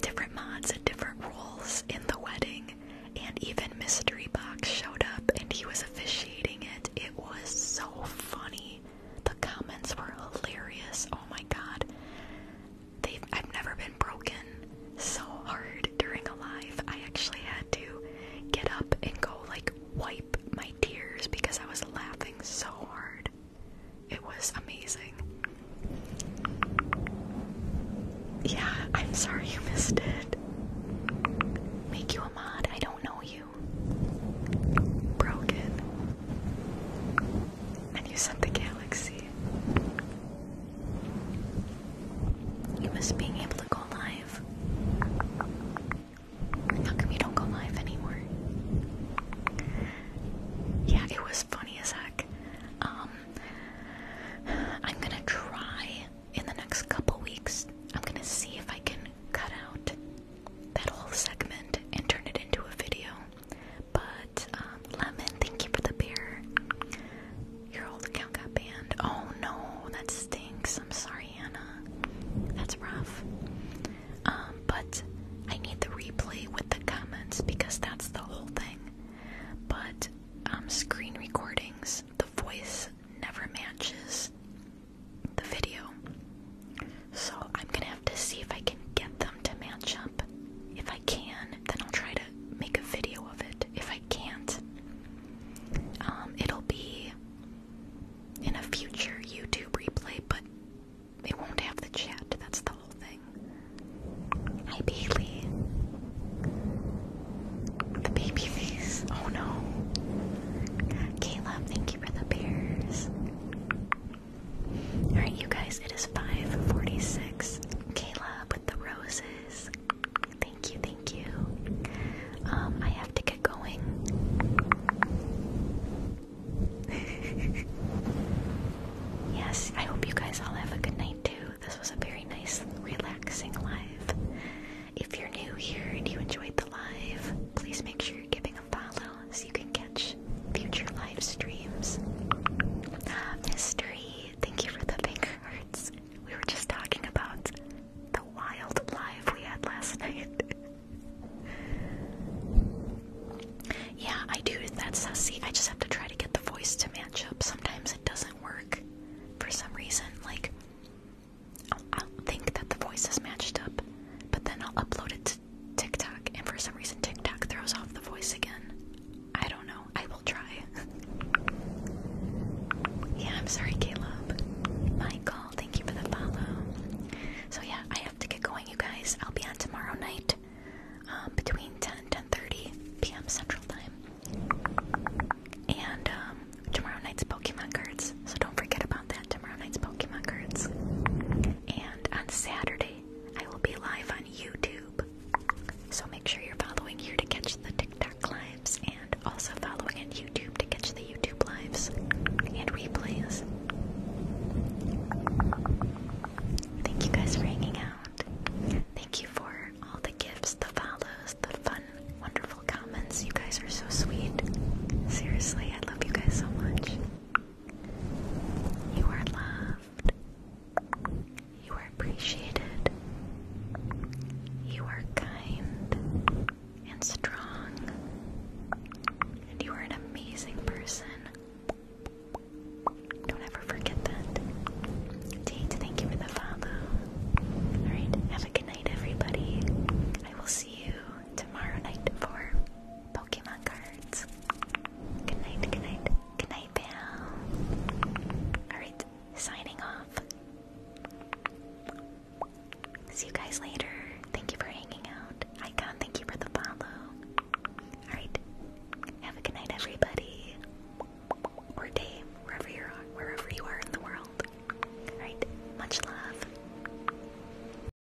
different mods and different roles in the wedding, and even Mystery Box showed up and he was officiating it. It was so funny. The comments were hilarious. Oh my god. They've I've never been broken so hard during a live. I actually had to get up and go like wipe my tears because I was laughing so hard. It was amazing. Yeah, I'm sorry you missed it. Make you a mod. I don't know you you it, and you sent the galaxy. You miss being able to go live. How come you don't go live anymore? Yeah, it was funny as heck. Um, I'm gonna try in the next couple weeks. I'm gonna see if I can cut out that whole segment and turn it into a video. But um, Lemon, thank you for the beer. Your old account got banned. Oh no, that stinks. I'm sorry, Anna. That's rough. Um, but I need the replay with the comments because that's the whole thing. But um, screen recordings, the voice never matches the video. So I'm gonna have to see if I can get them to match up. If I can, then I'll try to make a video of it. If I can't, um, it'll be in a future YouTube replay, but they won't have the chat. That's the whole thing. Hi, Bailey. The baby face. Oh no. Caleb, thank you for the bears. Alright, you guys, it is 546. Kayla with the roses. Thank you, thank you. Um, I have to get going. yes, I hope you guys all have a good night too. This was a very nice, relaxing live. If you're new here and you enjoyed the live, please make sure you're giving a follow so you can catch future live streams. Ah, mystery, thank you for the finger hearts. We were just talking about the wild life we had last night. yeah, I do. That's sussy. I just have to try to get the voice to match up. Sometimes it doesn't work for some reason. Like, I'll, i think that the voice is matched up, but then I'll upload it to TikTok, and for some reason, TikTok throws off the voice again. I don't know. I will try. yeah, I'm sorry, Caleb. Michael, thank you for the follow. So yeah, I have to get going, you guys. I'll be on tomorrow night um, between 10 and 10.30 p.m. Central Time. And um, tomorrow night's Pokemon cards, so don't forget about that. Tomorrow night's Pokemon cards. And on Saturday, I will be live on YouTube. So make sure you're following here to catch the TikTok lives and also following on YouTube to catch the YouTube lives and replays. Thank you guys for hanging out. Thank you for all the gifts, the follows, the fun, wonderful comments. You guys are so sweet. Seriously, I love you guys so much. You are loved. You are appreciated. You are kind and strong. And you are an amazing person. Don't ever forget that. Tate, thank you for the follow. Alright, have a good night, everybody. I will see you tomorrow night for Pokemon cards. Good night, good night, good night, pal. Alright, signing off. See you guys later. Thank you for hanging out. Icon, thank you for the follow. Alright, have a good night, everybody. Or day, wherever you are, wherever you are in the world. Alright, much love.